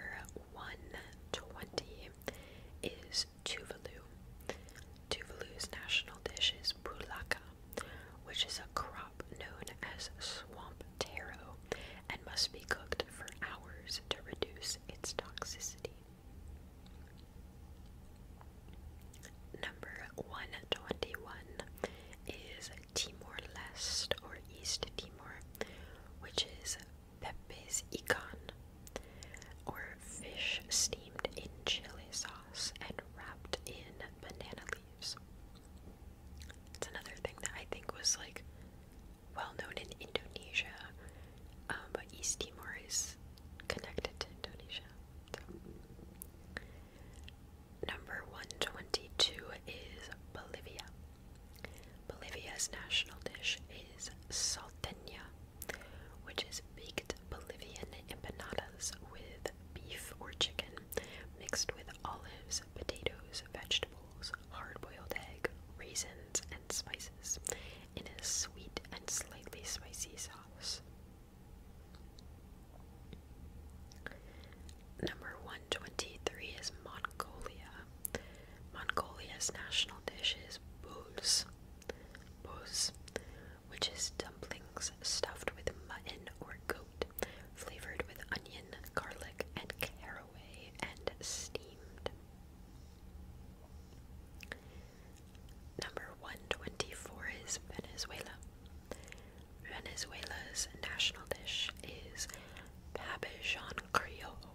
120 is Tuvalu. Tuvalu's national dish is Bulaka, which is a crop known as swamp taro and must be cooked for hours to reduce its toxicity. Number 121 is Timor Leste or East Timor, which is pepis Ikan, or fish steamed in chili sauce and wrapped in banana leaves. It's another thing that I think was like well known in Indonesia, um, but East Timor is connected to Indonesia. Number 122 is Bolivia. Bolivia's national dish is salteña, which is baked Bolivian empanadas with beef or chicken mixed with olives, potatoes, vegetables, hard boiled egg, raisins, and spices in a sweet and slightly spicy sauce. Number 123 is Mongolia. Mongolia's national dish is buz. Buz, which is dumplings stuffed with mutton or goat, flavored with onion, garlic, and caraway, and steamed. Number 124 is Venezuela. Venezuela's national dish is Babichon Criollo,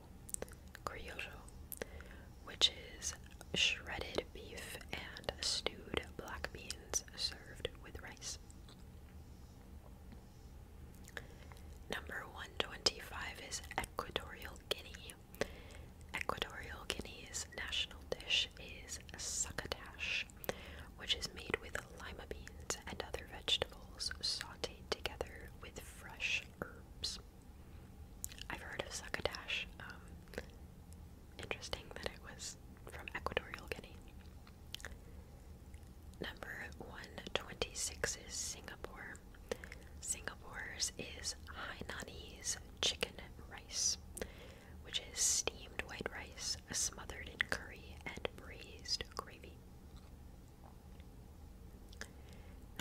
criollo which is shredded beef and stewed black beans served with rice. Number 125 is Equatorial Guinea. Equatorial Guinea's national dish is succotash, which is made with lima beans and other vegetables sauteed together with fresh herbs. I've heard of succotash. Um, Interesting that it was from Equatorial Guinea. Number 126 is Singapore. Singapore's is Hainanese chicken rice, which is steamed white rice smothered in curry and braised gravy.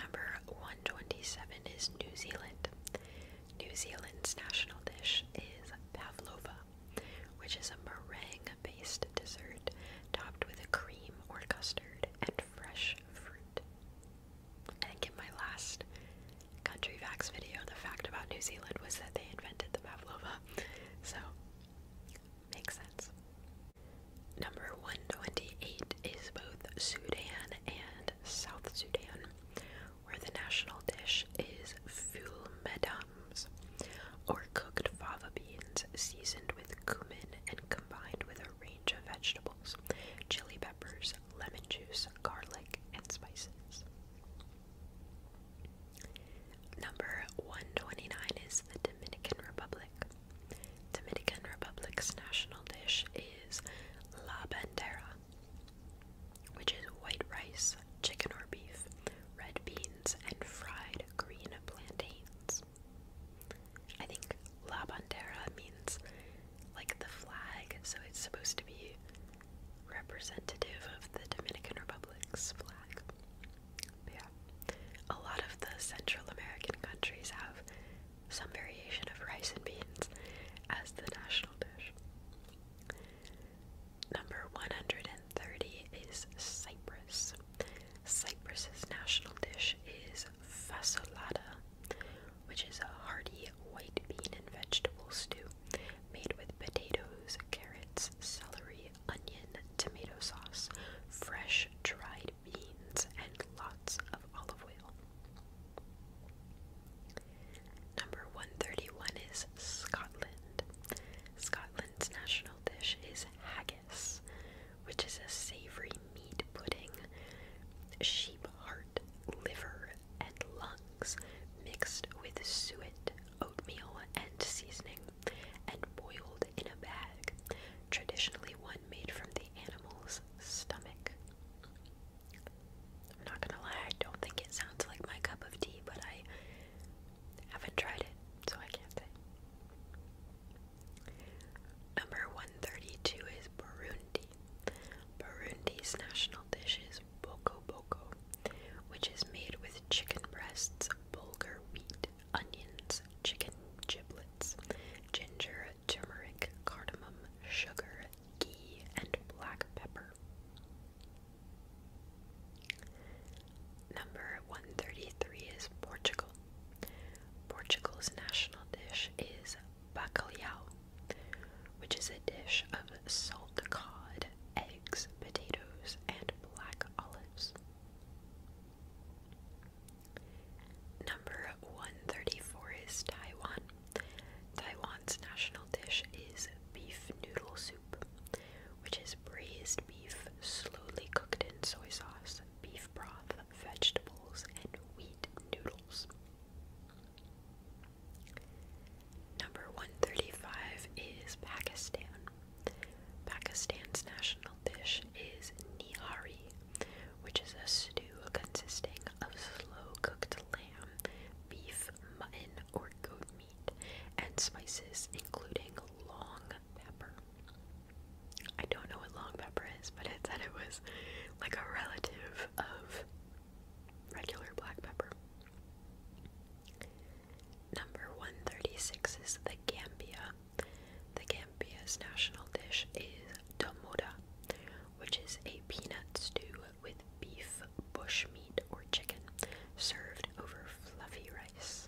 Number 127 is New Zealand. New Zealand's national dish is pavlova, which is a meringue-based dessert topped with a cream or custard and fresh fruit. I think in my last Country Facts video, the fact about New Zealand was that they invented the pavlova, so makes sense. Number 128 is both Sudan and South Sudan where the national dish is ful madams, or cooked fava beans seasoned with cumin and combined with a range of vegetables, chili peppers, lemon juice, garlic, and spices. Number 129 is the Dominican Republic. Dominican Republic's national dish is la bandera, which is white rice, chicken or beef, red beans, and fried green plantains. I think La Bandera means like the flag, so it's supposed to be representative of the Dominican Republic's flag. yeah, a lot of the Central American countries have some variation of rice and beans as the national dish. Number 130 is Cyprus. Cyprus's national dish is fasolada, which is a hearty white bean and vegetable stew made with potatoes, carrots, celery, onion, tomato sauce, fresh dried beans, and lots of olive oil. Number 131 is Scotland. Scotland's national dish is haggis, which is a savory meat pudding. Sheep heart, liver, and lungs mixed with suet, oatmeal, and seasoning, and boiled in a bag, traditionally one made from the animal's stomach. I'm not gonna lie, I don't think it sounds like my cup of tea, but I haven't tried it, so I can't say. Number 132 is Burundi. Burundi's national dish is boko boko, which is made with chicken breasts, bulgur wheat, onions, chicken giblets, ginger, turmeric, cardamom, sugar, ghee, and black pepper. Number 133 is Portugal. Portugal's national dish is bacalhau, which is a dish of salt cod, eggs, potatoes, and black olives. Number 134 is Taiwan. Taiwan's national dish is beef noodle soup which is braised beef slowly cooked in soy sauce, beef broth, vegetables, and wheat noodles. Number 135 is Pakistan. Pakistan's national dish is niari, which is a stew consisting of slow cooked lamb, beef, mutton, or goat meat and spices, including long pepper. I don't know what long pepper is, but it said it was like a relative of regular black pepper. Number 136 is the Gambia. The Gambia's national dish is domoda, which is a peanut stew with beef, bush or chicken served over fluffy rice.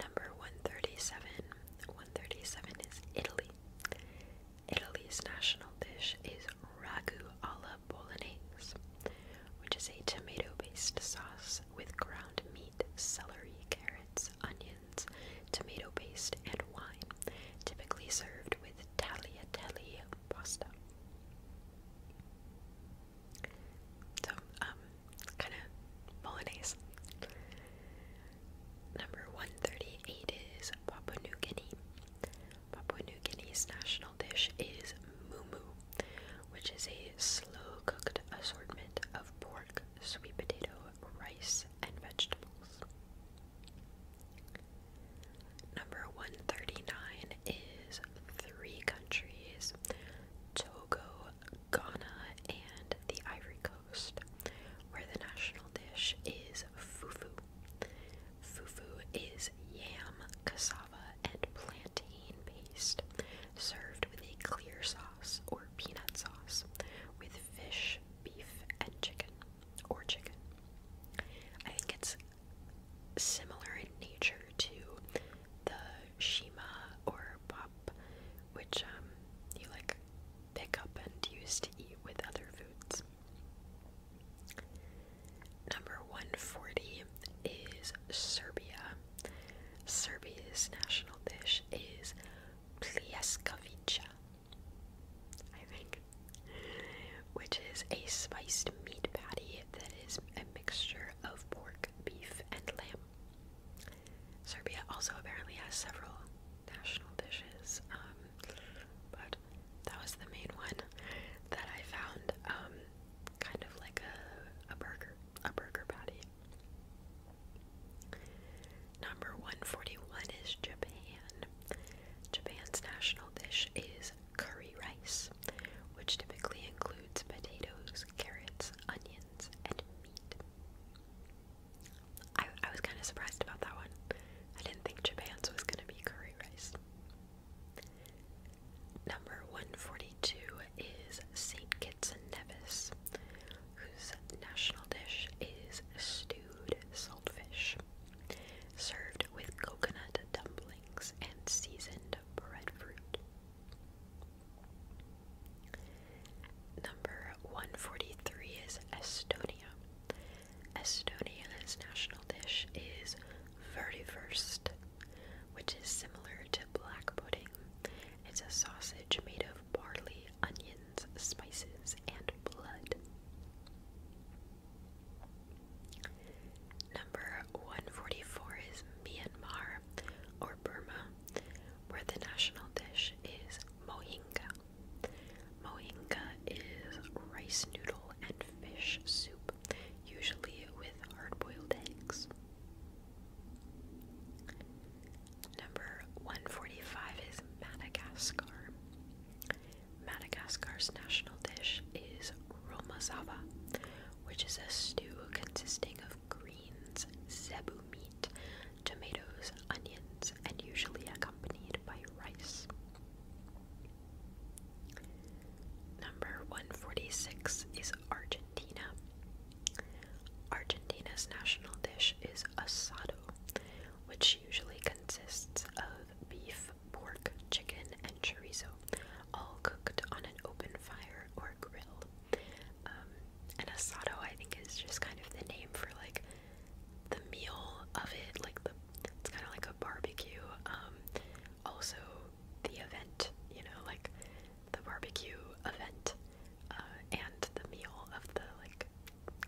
Number 137. 137 is Italy. Italy's national dish is ragu alla bolognese, which is a tomato based sauce with ground meat, celery, carrots, onions, tomato based and wine, typically served with tagliatelle pasta. So, um, kind of bolognese. Number 138 is Papua New Guinea. Papua New Guinea's national dish is mumu, which is a slow cooked assortment of pork, sweet potato, rice, and vegetables. Number 139 is three countries Togo, Ghana, and the Ivory Coast, where the national dish is fufu. Fufu is yam, cassava, and plantain paste served with a clear sauce or peanut sauce with fish, beef, and chicken or chicken. I think it's similar in nature to the shima or pop, which um, you like pick up and use to eat with other foods. Number 140 is Serbia. Serbia's national dish is pljeskavica. I think which is a spiced meat patty that is a mixture of pork, beef, and lamb. Serbia also apparently has several national dishes, um, but that was the main one that I found, um, kind of like a, a burger, a burger patty. Number 141 is Japan. Japan's national dish is curry rice, which typically includes potatoes, carrots, onions, and meat. I, I was kind of surprised about that one. I didn't think Japan's was going to be curry rice. Number 142 is St. Kitts and Nevis, whose national dish is stewed saltfish served with coconut dumplings and seasoned breadfruit. Number 143 is Estonia. Estonia's national dish is vertiverst, which is similar to black pudding. It's a sausage made of barley, onions, spices, and blood. Number 144 is Myanmar or Burma, where the national dish is mohinga. Mohinga is rice noodle and fish soup, usually with hard boiled eggs. Number 145 is Madagascar. Madagascar's national dish is romazava, which is a stew consisting of greens, zebu meat, tomatoes, onions, and usually accompanied by rice. Number 146 is Argentina. Argentina's national dish is asado, which usually consists of beef, pork, chicken, and chorizo, all cooked on an open fire or grill. Um, and asado, I think, is just kind of the name for like the meal of it. Like the, it's kind of like a barbecue. Um, also, the event, you know, like the barbecue event uh, and the meal of the like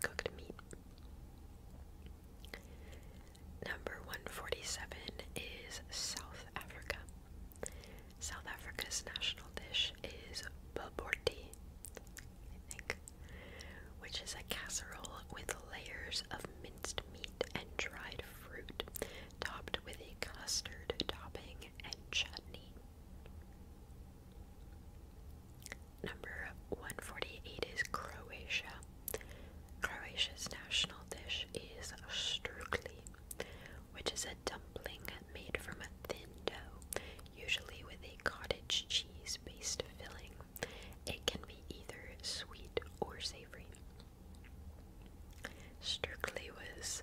cooked meat. Number 147 is South Africa. South Africa's national dish is baborti, which is a casserole with layers of minced meat and dried fruit, topped with a custard topping and chutney. Number 148 is Croatia. Croatia's national dish is strukli, which is a dumpling made from a thin dough, usually with a cottage cheese based filling. It can be either sweet or savory. Strukli was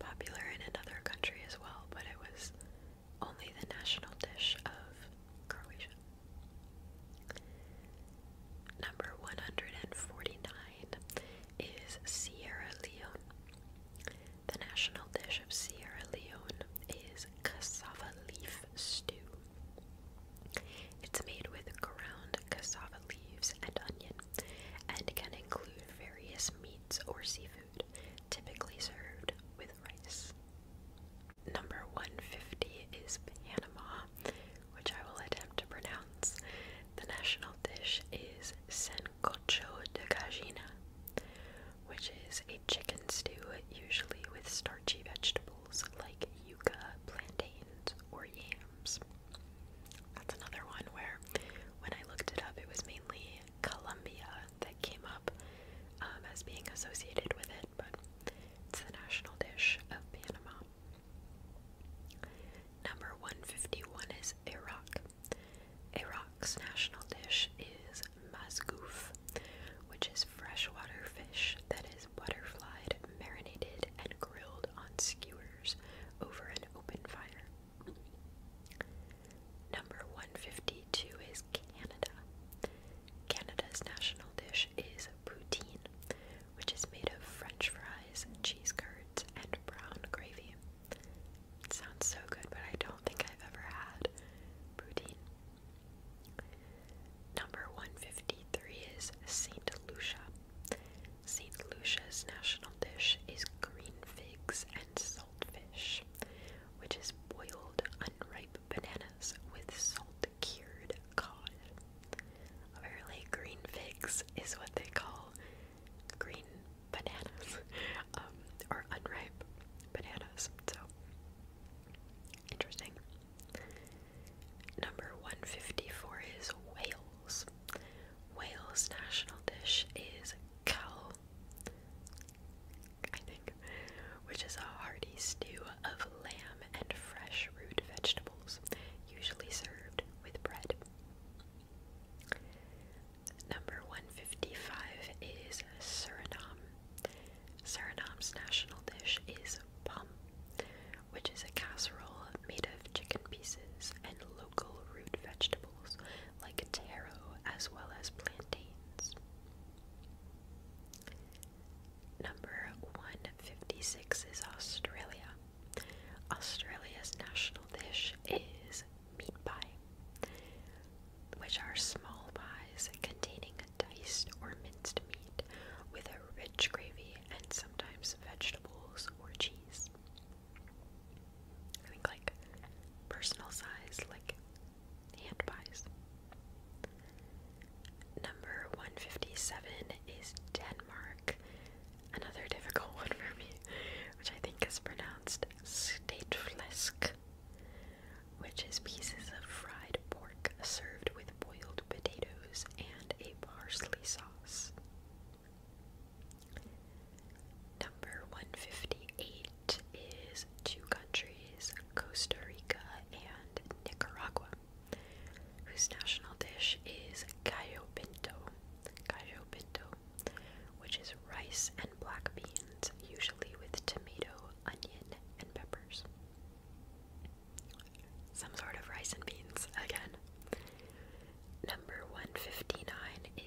popular in another country as well, but it was only the national dish of Croatia. Number 149 is Sierra Leone. The national dish of Sierra Leone is cassava leaf stew. It's made with ground cassava leaves and onion and can include various meats or seafood, typically served with rice. Number 150 is Panama, which I will attempt to pronounce. The national dish is sancocho de gallina, which is a chicken stew, usually with starchy vegetables like yuca, plantains, or yams. That's another one where, when I looked it up, it was mainly Colombia that came up um, as being associated with it, but it's the national dish of Panama. Number 151 is Iraq. Iraq's national dish is masgouf, which is freshwater fish that is butterflied, marinated, and grilled on skewers over an open fire. Number 152 is Canada. Canada's national dish is poutine, which is made of french fries, cheese curds, and brown gravy. sounds so good, but I don't think I've ever had poutine. Number 153 is St. Lucia. St. Lucia's national dish is green figs and saltfish, which is boiled unripe bananas with salt cured cod. Apparently, green figs is what they call green bananas, *laughs* um, or unripe bananas. So interesting. Number 154 is Wales. Wales' national dish is cow, I think, which is a hearty stew of lamb and fresh root vegetables, usually served with bread. Number 155 is Suriname. Suriname's national dish is pom, which is a casserole made of chicken pieces and local root vegetables like taro as well as plantains. Number 156 is Australia. Australia's national dish is meat pie, which are small pies containing diced or minced meat with a rich gravy and sometimes vegetables or cheese. I think like personal size, like hand pies. Number 157 is Denmark another difficult one for me, which I think is pronounced stateflesk, which is pieces of fried pork served with boiled potatoes and a parsley sauce. Number 158 is two countries, Costa Rica and Nicaragua whose national dish is gallo pinto. Gallo pinto, which is rice and black beans, usually with tomato, onion, and peppers. Some sort of rice and beans again. Number 159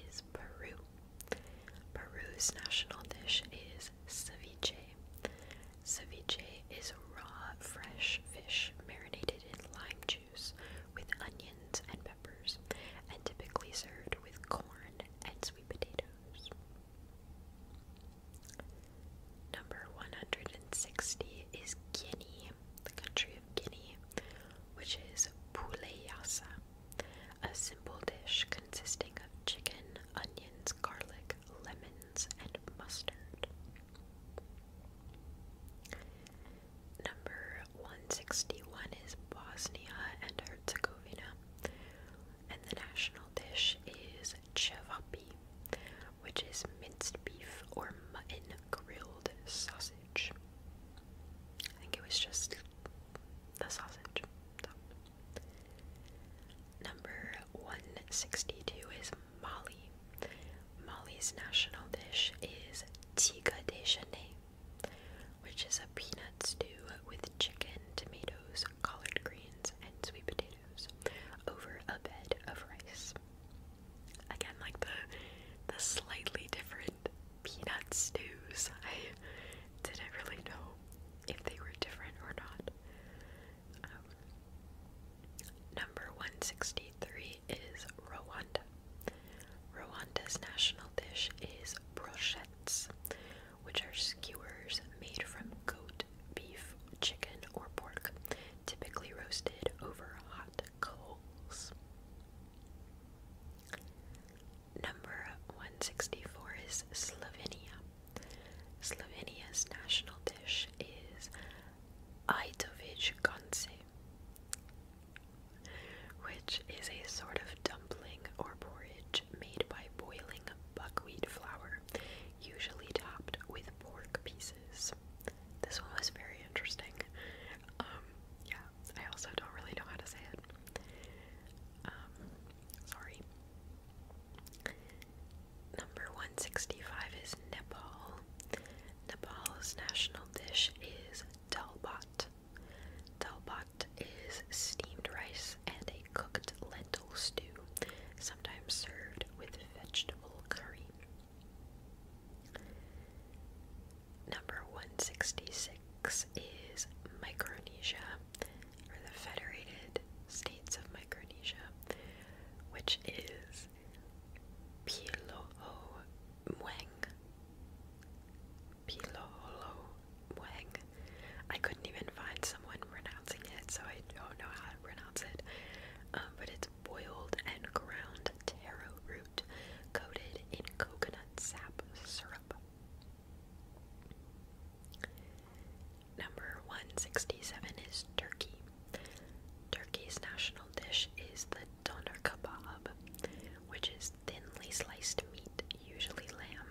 is Peru. Peru's national dish is ceviche. Ceviche is raw, fresh fish marinated in lime juice with onions and peppers, and typically served with corn and sweet potatoes. Number 160 is Guinea, the country of Guinea, which is poulet a simple dish consisting of chicken, onions, garlic, lemons, and mustard. Number 161 is Bosnia and Herzegovina, and the national dish is cevapi, which is minced beef or mutton grilled sausage. I think it was just the sausage. Number 162 is Mali, Mali's national dish is tiga de which is a peanut stew with chicken, tomatoes, collard greens, and sweet potatoes over a bed of rice. Again, like the the slightly different peanut stews. I didn't really know if they were different or not. Um, number 163 is Rwanda. Rwanda's national dish is brochettes, which are skewers made from goat, beef, chicken, or pork, typically roasted over hot coals. Number 164 is Slovenia. Slovenia's national dish is Ajdovic konce, which is a sort of dumpling or porridge made by boiling buckwheat flour, usually topped with pork pieces. This one was very interesting. Um, yeah, I also don't really know how to say it. Um, sorry. Number 165 is Nepal. Nepal's national dish is dalbat. Dalbat is steamed rice and a cooked lentil stew, sometimes served with vegetable curry. Number 166 is Micronesia, or the Federated States of Micronesia, which is is Piloho Mweng. Piloholo Mweng. I couldn't even find someone pronouncing it, so I don't know how to pronounce it. Um, but it's boiled and ground taro root coated in coconut sap syrup. Number 167 is turkey. Turkey's national dish is the doner kebab, which is thinly sliced meat, usually lamb,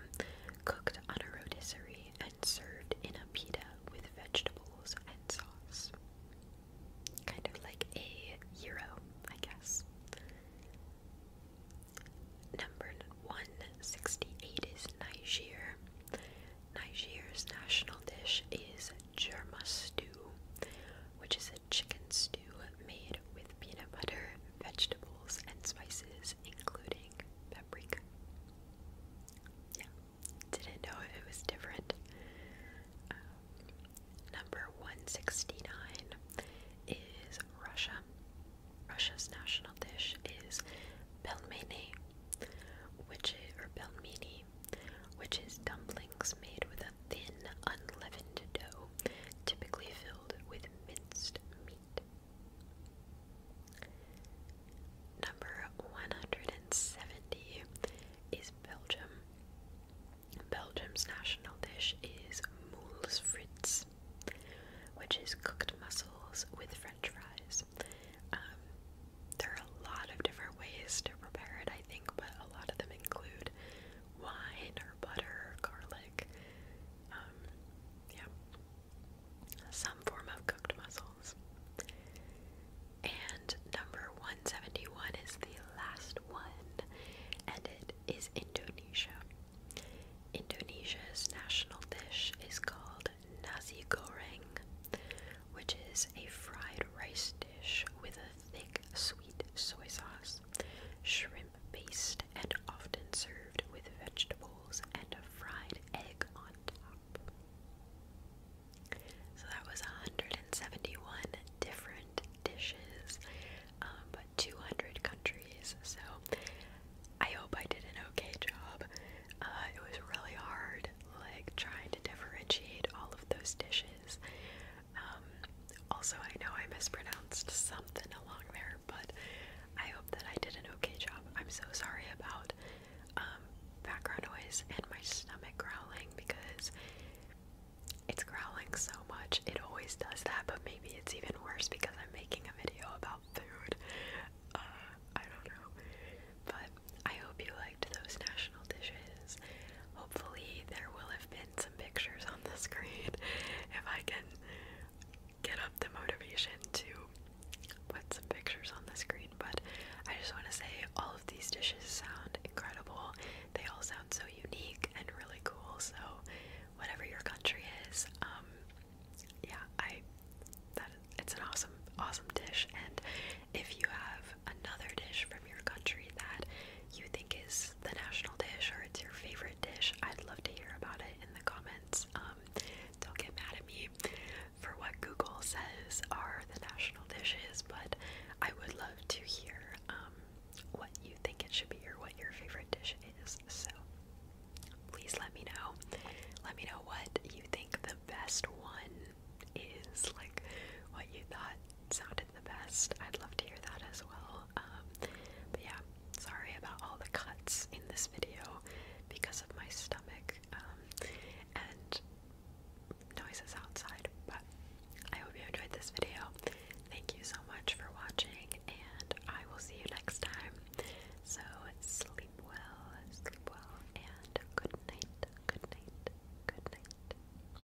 cooked on a rotisserie and served in a pita with vegetables and sauce. Kind of like a gyro, I guess. Number 168 is Niger. Niger's national dish is Germa stew, which is a chicken stew made with peanut butter, vegetables, and spices, including paprika. Yeah, didn't know if it was different. Um, number 169 is Russia. Russia's national dish is pelmeni, which is, or pelmeni which is dumplings made with a thin, unleavened dough, typically filled with minced meat. Number 170 is Belgium. Belgium's national dish is moules frites, which is cooked mussels with french fries. Um, there are a lot of different ways to prepare it, I think, but a lot of them include wine or butter garlic. Um, yeah, some form of cooked mussels. And number 171 is the last one, and it is Indonesia. Indonesia's national dish is called nasi goreng, which is a fried rice dish with a thick, sweet soy sauce, shrimp based, and often served with vegetables and a fried egg on top. So that was 171 different dishes, um, but 200 countries. So I hope I did an okay job. Uh, it was really hard, like trying to differentiate all of those dishes. Um, also, I know I mispronounced something along there, but I hope that I did an okay job. I'm so sorry about um, background noise and my stomach growling because it's growling so much. It always does that, but maybe it's even worse because I'm making a video about food. Uh, I don't know. But I hope you liked those national dishes. Hopefully, there will have been pictures on the screen *laughs* if I can get up the motivation to put some pictures on the screen. But I just want to say all of these dishes sound incredible. They all sound so unique and really cool. So whatever your country is, um, yeah, I that it's an awesome, awesome dish. And if you have another dish from your country that you think is the national dish or it's your favorite dish, I'd love to hear about it in the comments. Um, don't get mad at me for what Google says are the national dishes, but I would love to hear um, what you think it should be or what your favorite dish is. So please let me know. Let me know what you think the best one is, like what you thought sounded the best. I'd love to hear that as well. Um, but yeah, sorry about all the cuts in this video because of my stomach um, and noises outside. But I hope you enjoyed this video. Thank you so much for watching, and I will see you next time. So sleep well, sleep well, and good night, good night, good night.